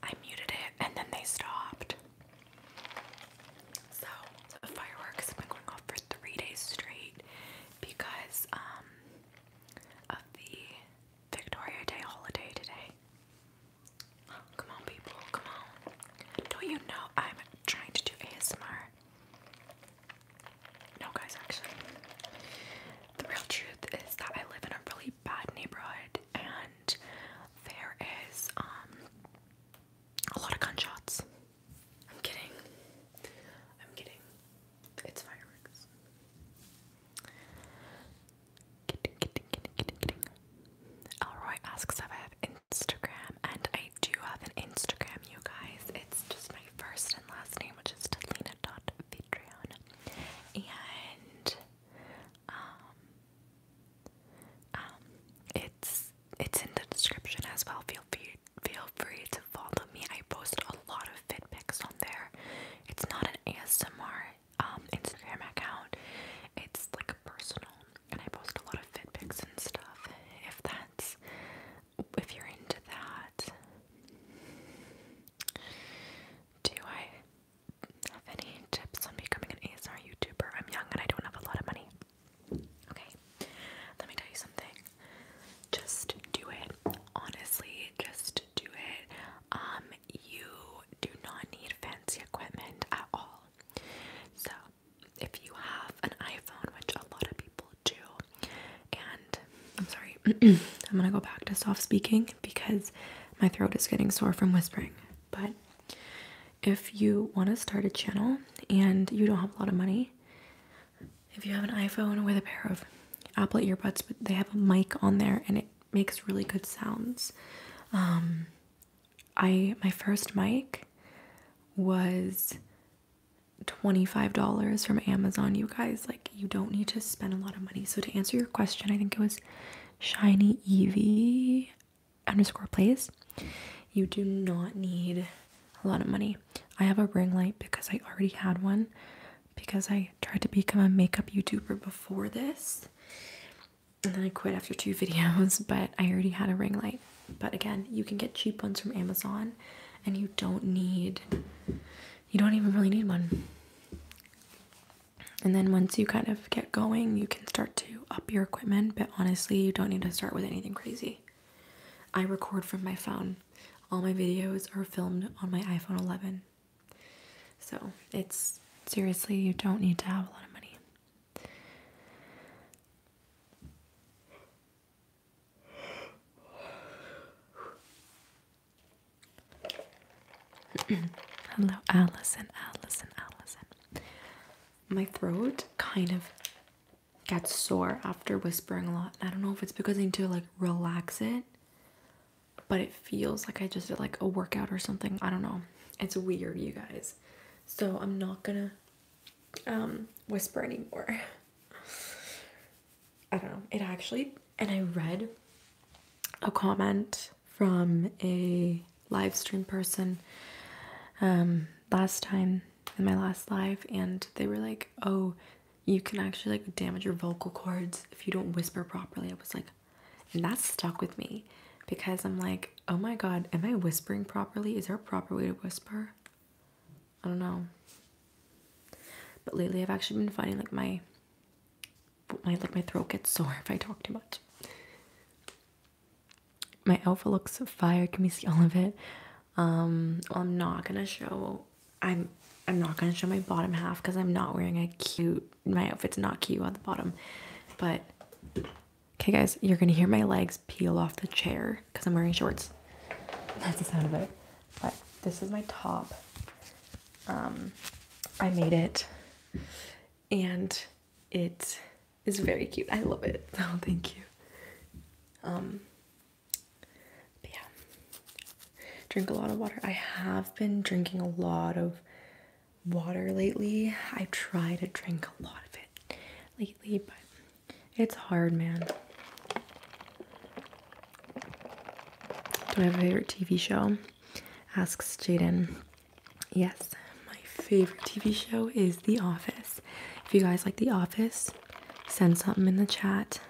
I muted it and then they stopped. So the fireworks have been going off for three days straight because um, of the Victoria Day holiday today. come on, people, come on. Don't you know I'm trying to do ASMR? No, guys, actually, the real truth is that I live in a really bad neighborhood, and there is um a lot of gunshots. I'm kidding. I'm kidding. It's fireworks. Elroy asks if I have Instagram, and I do have an Instagram, you guys. It's just my first and last name, which is Delina.Vidrion. And um, um, it's it's in the description as well. Feel free feel free to follow me. I post a lot of fit pics on there. It's not an ASMR um, Instagram account. It's like a personal and I post a lot of fit pics and stuff if that's if you're into that. Do I have any tips on becoming an ASMR YouTuber? I'm young and I don't have a lot of money. Okay, let me tell you something. Just do it. Honestly, just do it. Um, you do not need fancy equipment at all. So, if you have an iPhone, which a lot of people Jew. And I'm sorry, I'm gonna go back to soft speaking because my throat is getting sore from whispering. But if you want to start a channel and you don't have a lot of money, if you have an iPhone with a pair of Apple earbuds, but they have a mic on there and it makes really good sounds. Um, I my first mic was $25 from Amazon, you guys. Like, you don't need to spend a lot of money. So, to answer your question, I think it was Shiny Evie underscore plays. You do not need a lot of money. I have a ring light because I already had one because I tried to become a makeup YouTuber before this. And then I quit after two videos, but I already had a ring light. But again, you can get cheap ones from Amazon and you don't need you don't even really need one. And then once you kind of get going, you can start to up your equipment, but honestly, you don't need to start with anything crazy. I record from my phone. All my videos are filmed on my iPhone 11. So, it's seriously, you don't need to have a lot of money. Hello, Allison, Allison, Allison. My throat kind of gets sore after whispering a lot. I don't know if it's because I need to like relax it, but it feels like I just did like a workout or something. I don't know. It's weird, you guys. So I'm not gonna um, whisper anymore. I don't know. It actually, and I read a comment from a live stream person um, last time in my last live, and they were like, "Oh, you can actually like damage your vocal cords if you don't whisper properly." I was like, and that stuck with me because I'm like, "Oh my god, am I whispering properly? Is there a proper way to whisper?" I don't know. But lately, I've actually been finding like my my like my throat gets sore if I talk too much. My outfit looks fire. Can we see all of it? Um, I'm not gonna show. I'm I'm not gonna show my bottom half because I'm not wearing a cute. My outfit's not cute on the bottom, but okay, guys, you're gonna hear my legs peel off the chair because I'm wearing shorts. That's the sound of it. But this is my top. Um, I made it and it is very cute. I love it. Oh, thank you. Um, yeah, drink a lot of water. I have been drinking a lot of water lately. I try to drink a lot of it lately, but it's hard, man. Do I have a favorite TV show? Asks Jaden. Yes, my favorite TV show is The Office. If you guys like The Office, send something in the chat.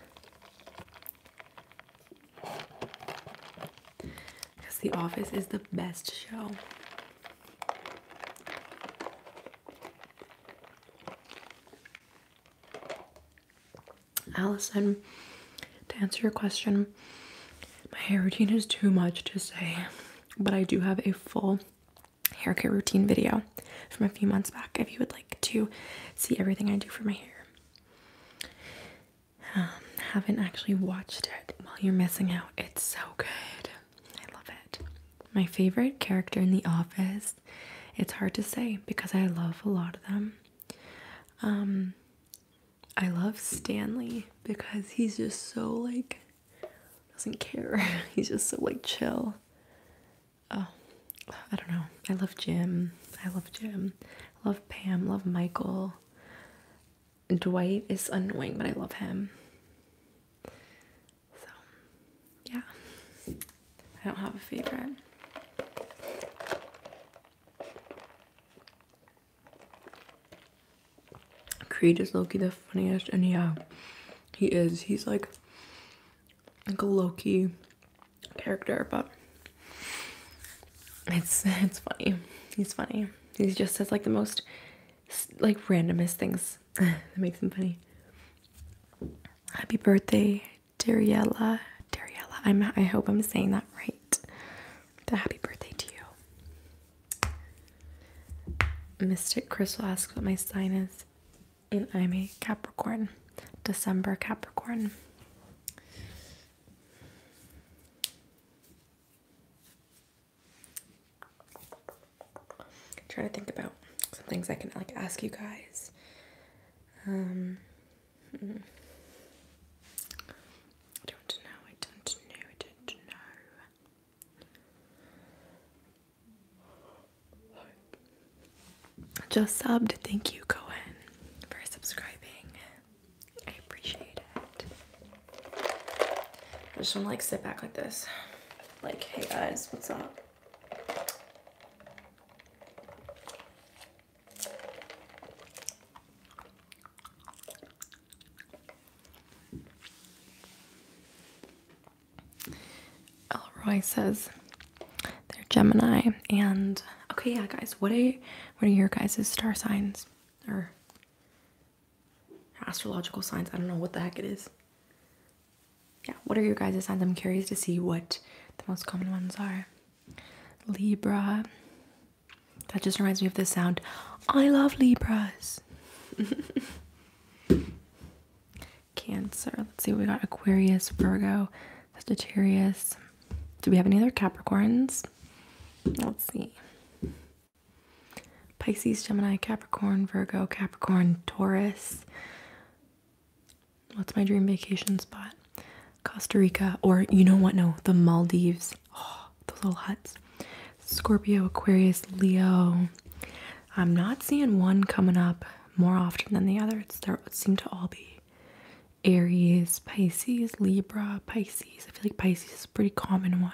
Because The Office is the best show. Allison, to answer your question, my hair routine is too much to say, but I do have a full hair care routine video from a few months back if you would like to see everything I do for my hair. Um, haven't actually watched it. While you're missing out. It's so good. I love it. My favorite character in The Office. It's hard to say because I love a lot of them. Um, I love Stanley because he's just so like doesn't care. he's just so like chill. Oh, I don't know. I love Jim. I love Jim. love Pam. Love Michael. Dwight is annoying, but I love him. So, yeah. I don't have a favorite. Creed is Loki the funniest, and yeah, he is. He's like like a Loki character, but it's it's funny. He's funny. He just says like the most like randomest things that makes him funny. Happy birthday Dariella, Dariella. I'm I hope I'm saying that right. The happy birthday to you. Mystic Crystal asks what my sign is, and I'm a Capricorn. December Capricorn. I'm trying to think about some things I can like ask you guys. Um just subbed. Thank you, Cohen, for subscribing. I appreciate it. I just want to like sit back like this. Like, hey guys, what's up? Elroy oh, says they're Gemini and okay yeah guys what a what are your guys' star signs or astrological signs I don't know what the heck it is yeah what are your guys' signs I'm curious to see what the most common ones are Libra. That just reminds me of this sound. I love Libras. Cancer. Let's see, we got Aquarius, Virgo, Sagittarius. Do we have any other Capricorns? Let's see. Pisces, Gemini, Capricorn, Virgo, Capricorn, Taurus, What's my dream vacation spot? Costa Rica, or you know what? No, the Maldives. Oh, those little huts. Scorpio, Aquarius, Leo. I'm not seeing one coming up more often than the other. It's there seem to all be Aries, Pisces, Libra, Pisces. I feel like Pisces is a pretty common one.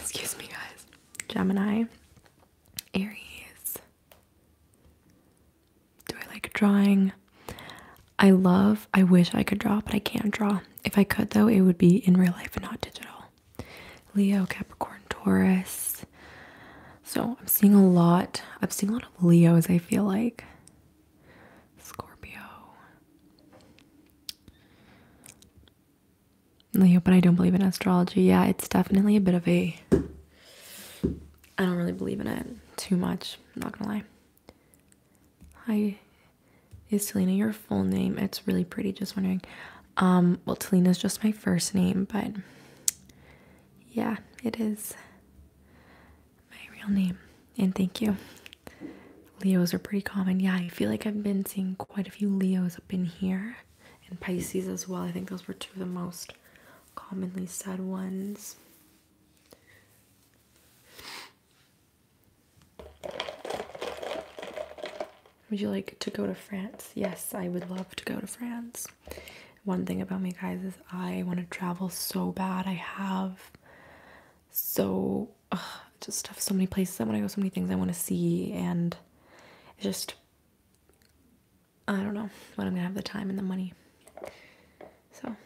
Excuse me, guys. Gemini, Aries, do I like drawing? I love, I wish I could draw, but I can't draw. If I could, though, it would be in real life and not digital. Leo, Capricorn, Taurus. So I'm seeing a lot. I'm seeing a lot of Leos, I feel like. Scorpio. Leo, but I don't believe in astrology. Yeah, it's definitely a bit of a I don't really believe in it too much, I'm not gonna lie. Hi, is Selena your full name? It's really pretty, just wondering. Um, well, Talena's just my first name, but yeah, it is my real name. And thank you. Leos are pretty common. Yeah, I feel like I've been seeing quite a few Leos up in here and Pisces as well. I think those were two of the most commonly said ones. Would you like to go to France? Yes, I would love to go to France. One thing about me, guys, is I want to travel so bad. I have so just have so many places I want to go, so many things I want to see, and just I don't know when I'm gonna have the time and the money. So,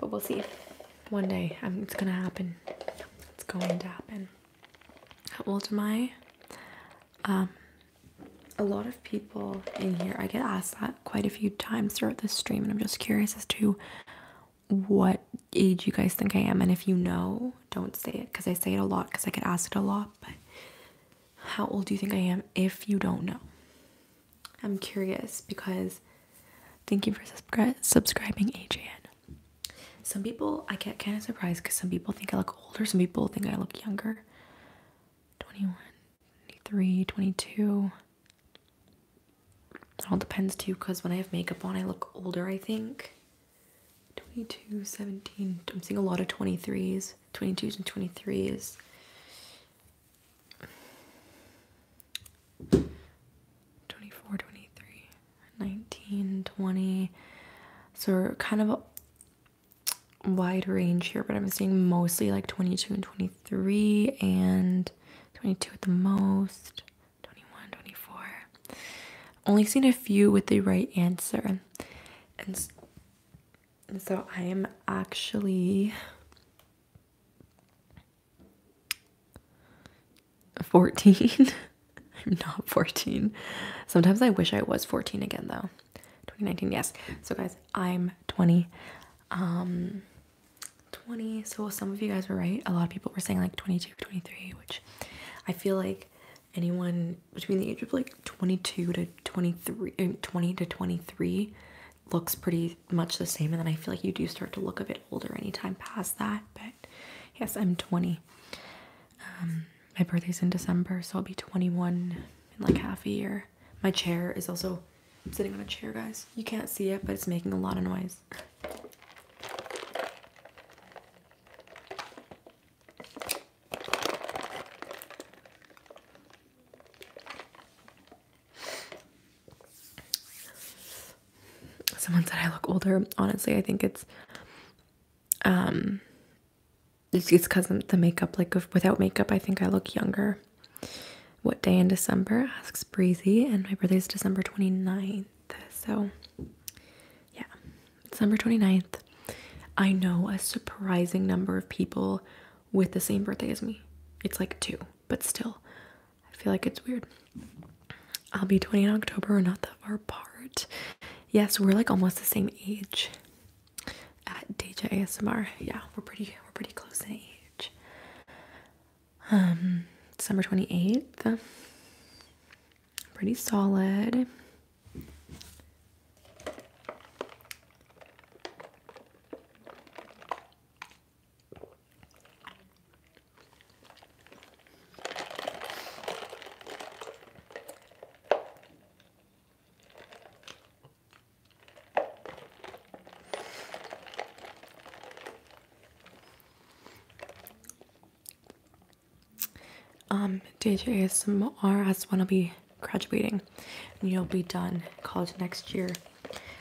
but we'll see. One day, it's gonna happen. It's going to happen. How old am I? Um, a lot of people in here, I get asked that quite a few times throughout this stream, and I'm just curious as to what age you guys think I am, and if you know, don't say it because I say it a lot because I get asked it a lot. But how old do you think I am if you don't know? I'm curious because thank you for subscribing, Adrian. Some people I get kind of surprised because some people think I look older, some people think I look younger 21, 23, 22. It all depends too because when I have makeup on, I look older, I think. 22, 17. I'm seeing a lot of 23s, 22s, and 23s. Twenty-four, twenty-three, nineteen, twenty. So we're kind of a wide range here, but I'm seeing mostly like 22 and 23 and 22 at the most, 21, 24 only seen a few with the right answer. And so I am actually 14. I'm not 14. Sometimes I wish I was 14 again though. 2019, yes. So guys, I'm 20. Um 20. So some of you guys were right. A lot of people were saying like 22, 23, which I feel like anyone between the age of like 22 to 23 20 to 23 looks pretty much the same and then i feel like you do start to look a bit older anytime past that but yes i'm 20 um, my birthday's in december so i'll be 21 in like half a year my chair is also sitting on a chair guys you can't see it but it's making a lot of noise Someone said I look older. Honestly, I think it's um it's because of the makeup. Like without makeup, I think I look younger. What day in December? Asks Breezy, and my birthday is December 29th. So yeah, December 29th. I know a surprising number of people with the same birthday as me. It's like two, but still, I feel like it's weird. I'll be 20 in October, we're not that far apart. Yes, we're like almost the same age at Deja ASMR. Yeah, we're pretty we're pretty close in age. Um December 28th pretty solid um, DJ ASMR as when will be graduating and you'll be done college next year.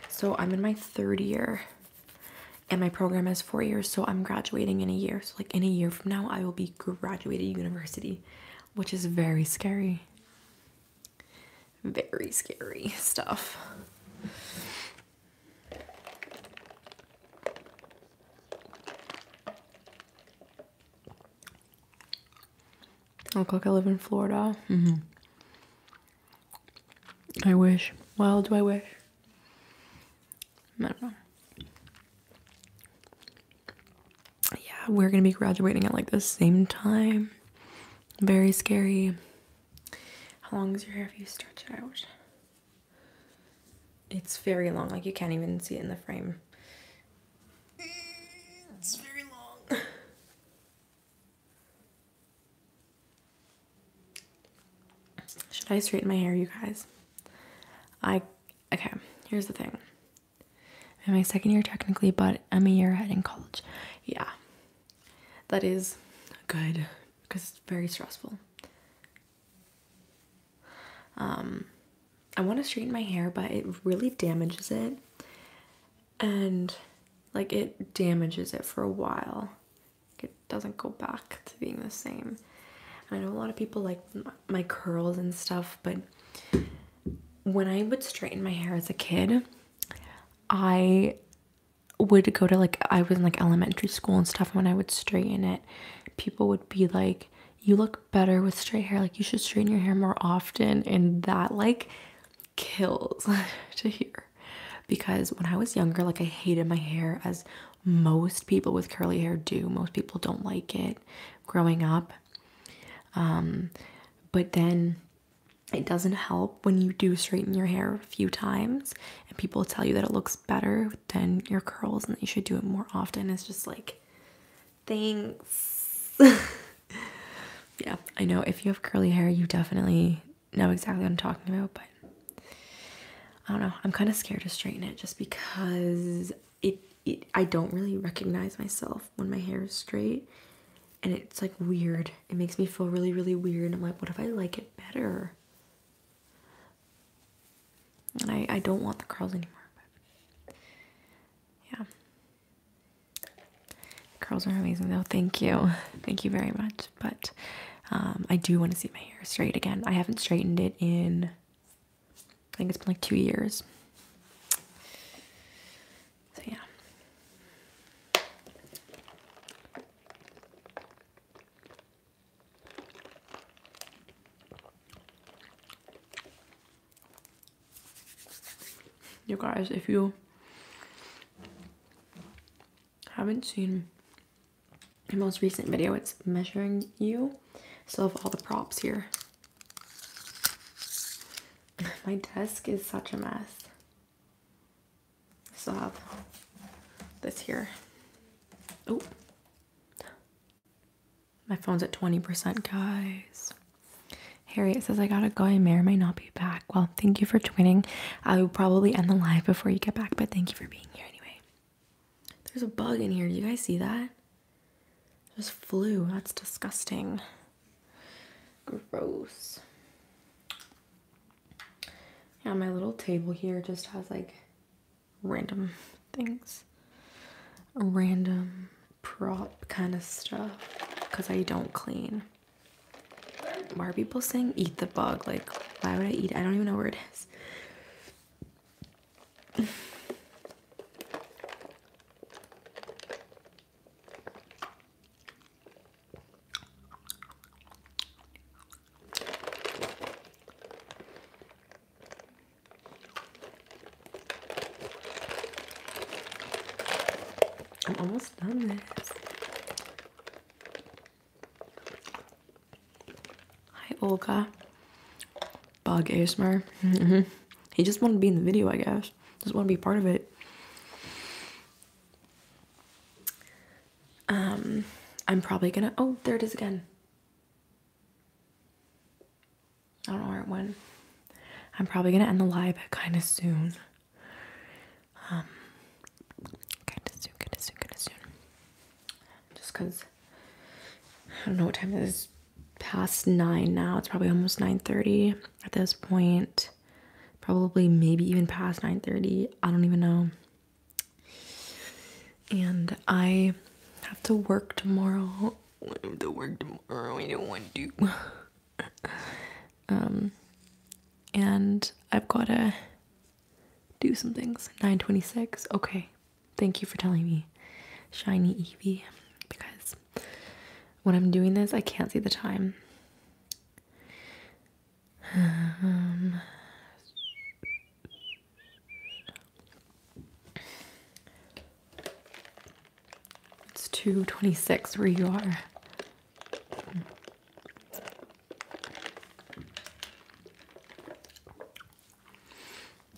So I'm in my third year and my program is four years. So I'm graduating in a year. So like in a year from now, I will be graduating university, which is very scary. Very scary stuff i Look like I live in Florida. Mm-hmm. I wish. Well, do I wish? I don't know. Yeah, we're gonna be graduating at like the same time. Very scary. How long is your hair if you stretch it out? It's very long, like you can't even see it in the frame. Should I straighten my hair, you guys? I, okay, here's the thing. I'm in my second year technically, but I'm a year ahead in college. Yeah, that is good because it's very stressful. Um, I want to straighten my hair, but it really damages it. And like it damages it for a while. It doesn't go back to being the same. I know a lot of people like my curls and stuff, but when I would straighten my hair as a kid, I would go to like I was in like elementary school and stuff. When I would straighten it, people would be like, you look better with straight hair. Like you should straighten your hair more often. And that like kills to hear. Because when I was younger, like I hated my hair as most people with curly hair do. Most people don't like it growing up. Um, but then it doesn't help when you do straighten your hair a few times and people tell you that it looks better than your curls and that you should do it more often. It's just like Thanks. yeah, I know if you have curly hair, you definitely know exactly what I'm talking about, but I don't know. I'm kind of scared to straighten it just because it, it I don't really recognize myself when my hair is straight. And it's like weird. It makes me feel really, really weird. I'm like, what if I like it better? And I, I don't want the curls anymore. yeah. curls are amazing though. Thank you. Thank you very much. But um, I do want to see my hair straight again. I haven't straightened it in, I think it's been like two years. So yeah. You guys, if you haven't seen my most recent video, it's measuring you. Still have all the props here. My desk is such a mess. I still have this here. Oh, my phone's at 20%, guys. Harriet says, I gotta go. I may or may not be back. Well, thank you for twinning. I will probably end the live before you get back, but thank you for being here anyway. There's a bug in here. Do you guys see that? There's flu. That's disgusting. Gross. Yeah, my little table here just has like random things, random prop kind of stuff because I don't clean. Why are people saying eat the bug? Like, why would I eat? I don't even know where it is. I'm almost done this. Hi Olga. Bug ASMR. Mm-hmm. he just wanted to be in the video, I guess. Just want to be part of it. Um, I'm probably gonna. Oh, there it is again. I don't know where it went. I'm probably gonna end the live kind of soon. Um, kind of soon, kind of soon, kind of soon. Just cause I don't know what time it is. Past nine now. It's probably almost nine thirty at this point. Probably maybe even past nine thirty. I don't even know. And I have to work tomorrow want him to work tomorrow. I don't want to. um, and I've gotta do some things. 926. Okay. Thank you for telling me. Shiny Evie, Because when I'm doing this, I can't see the time. Um, it's 226 where you are.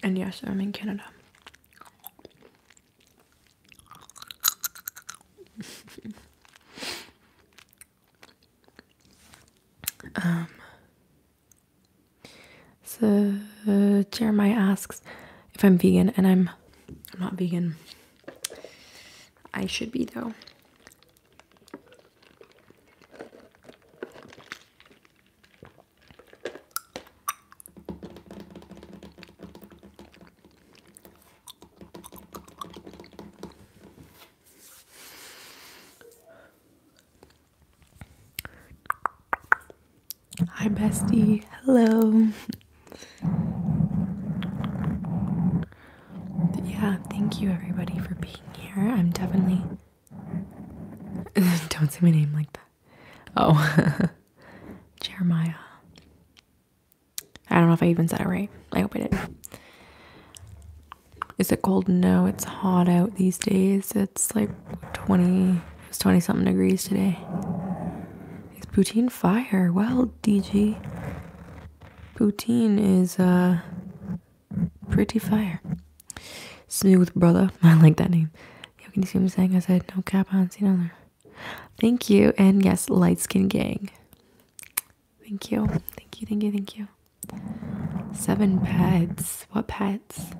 And yes, I'm in Canada. um so uh, Jeremiah asks if I'm vegan, and I'm not vegan. I should be though. Hi, bestie. Hello. Yeah, thank you everybody for being here. I'm definitely. Don't say my name like that. Oh, Jeremiah. I don't know if I even said it right. I hope I did. Is it cold? No, it's hot out these days. It's like 20 it's 20 something degrees today. It's poutine fire. Well, DG. Boutine is uh pretty fire. Smooth brother. I like that name. Yo, can you see what I'm saying? I said no cap on see another. Thank you. And yes, light skin gang. Thank you. Thank you, thank you, thank you. Seven pets. What pets?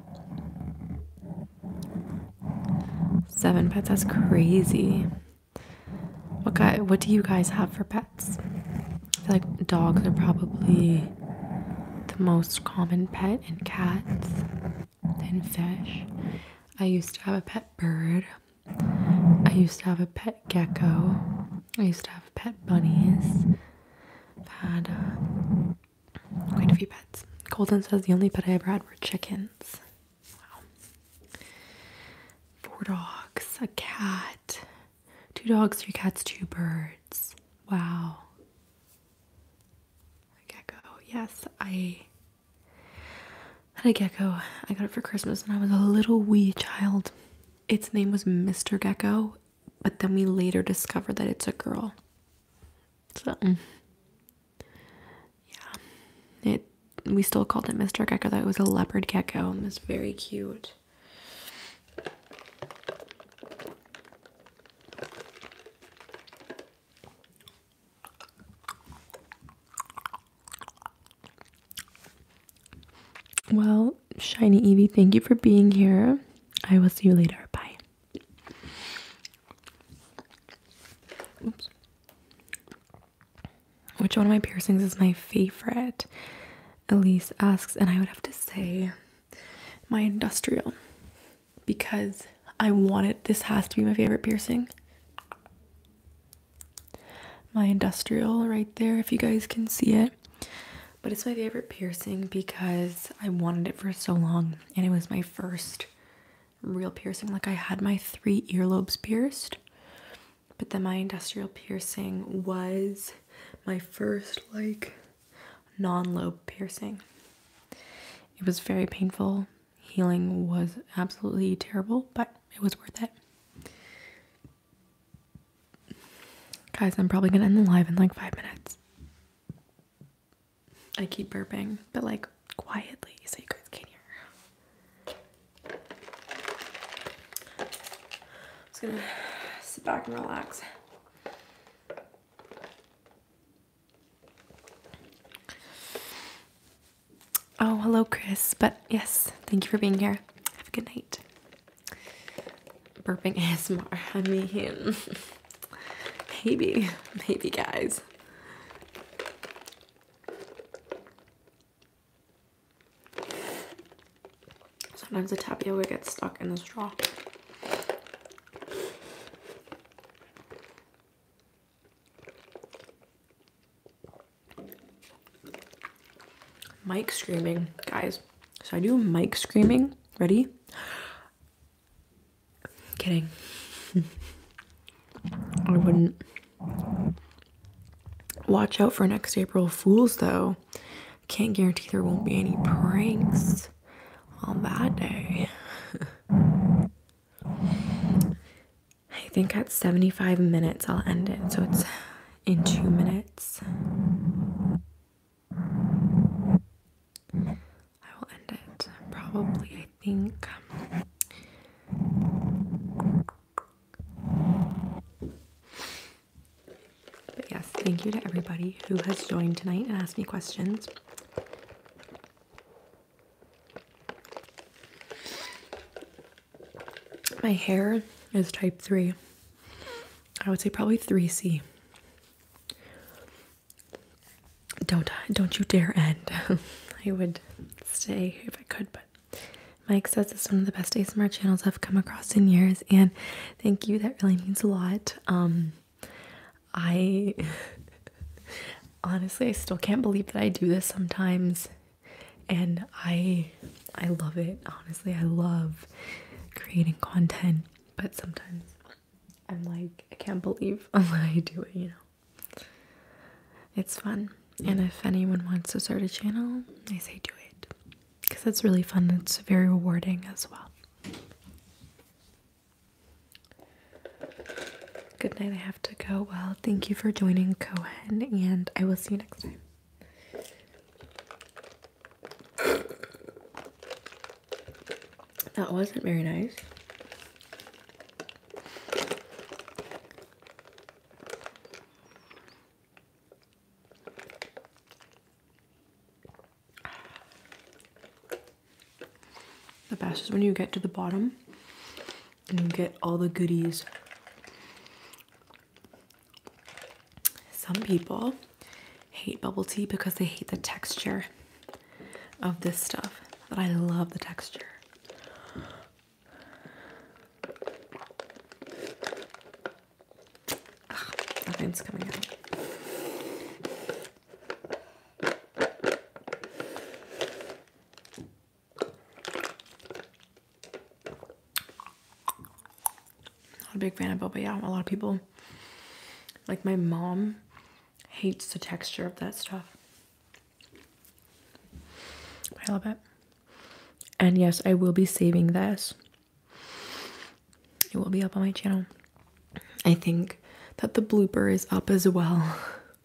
Seven pets, that's crazy. What guy what do you guys have for pets? I feel like dogs are probably the most common pet and cats and fish. I used to have a pet bird. I used to have a pet gecko. I used to have pet bunnies. I've had Quite a few pets. Colton says the only pet I ever had were chickens. Wow. Four dogs, a cat, two dogs, three cats, two birds. Wow. A gecko. Yes, I had a gecko. I got it for Christmas when I was a little wee child. Its name was Mr. Gecko, but then we later discovered that it's a girl. So, mm. yeah, it. We still called it Mr. Gecko. Though it was a leopard gecko. And it very cute. Well, Shiny Evie, thank you for being here. I will see you later. Bye. Which one of my piercings is my favorite? Elise asks, and I would have to say my industrial because I wanted this has to be my favorite piercing. My industrial right there, if you guys can see it. But it's my favorite piercing because I wanted it for so long and it was my first real piercing. Like I had my three earlobes pierced, but then my industrial piercing was my first like non-lobe piercing. It was very painful. Healing was absolutely terrible, but it was worth it. Guys, I'm probably gonna end the live in like five minutes. I keep burping, but like quietly so you guys can hear. I'm just gonna sit back and relax. Oh, hello, Chris. But yes, thank you for being here. Have a good night. Burping ASMR. I mean. Maybe, maybe, guys. Sometimes the tapioca gets stuck in the straw. Mike screaming, guys. So I do Mike screaming. Ready? Kidding. I wouldn't. Watch out for next April Fools, though. Can't guarantee there won't be any pranks on that day. I think at 75 minutes I'll end it, so it's in two minutes. I will end it probably, I think. Um, but yes, thank you to everybody who has joined tonight and asked me questions. My hair is type 3. I would say probably 3C. Don't don't you dare end. I would stay if I could, but Mike says it's one of the best ASMR channels I've come across in years, and thank you. That really means a lot. Um, I honestly I still can't believe that I do this sometimes, and I I love it. Honestly, I love creating content, but sometimes I'm like, I can't believe I do it, you know. It's fun. And if anyone wants to start a channel, I say do it. Because it's really fun. It's very rewarding as well. Good night. I have to go. Well, thank you for joining Cohen, and I will see you next time. That wasn't very nice. The best is when you get to the bottom and you get all the goodies. Some people hate bubble tea because they hate the texture of this stuff that I love the texture. nothing's coming out. Not a big fan of it, but Yeah, a lot of people, like my mom, Hates the texture of that stuff. I love it. And yes, I will be saving this. It will be up on my channel. I think that the blooper is up as well.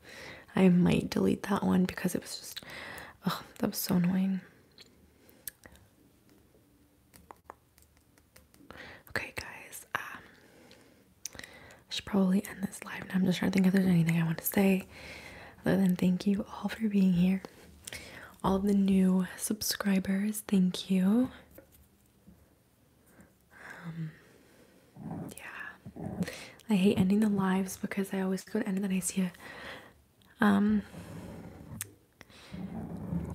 I might delete that one because it was just, oh, that was so annoying. Okay, guys. Um, I should probably end this live now. I'm just trying to think if there's anything I want to say. Other than thank you all for being here. All the new subscribers, thank you. Um, yeah. I hate ending the lives because I always go to end the nice I um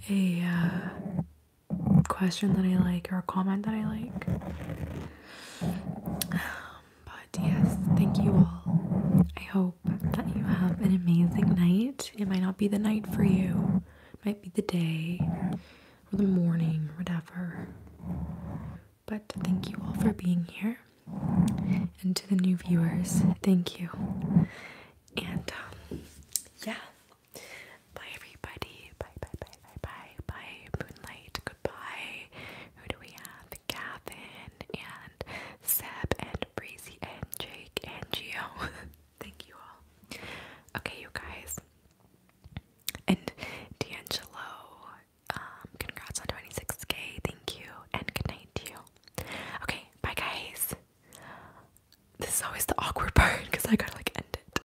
a uh, question that I like or a comment that I like. Um, but yes, thank you all. I hope that you have an amazing night. It might not be the night for you, it might be the day or the morning, whatever. But thank you all for being here. And to the new viewers, thank you. And um, yeah, Bye everybody. Bye bye bye bye bye bye Moonlight. Goodbye. Who do we have? Gavin and Seb and Breezy and Jake and Geo. Thank you all. Okay you guys. And D'Angelo, um, congrats on 26k, thank you, and good night to you. Okay, bye guys. This is always the awkward part because I gotta like end it.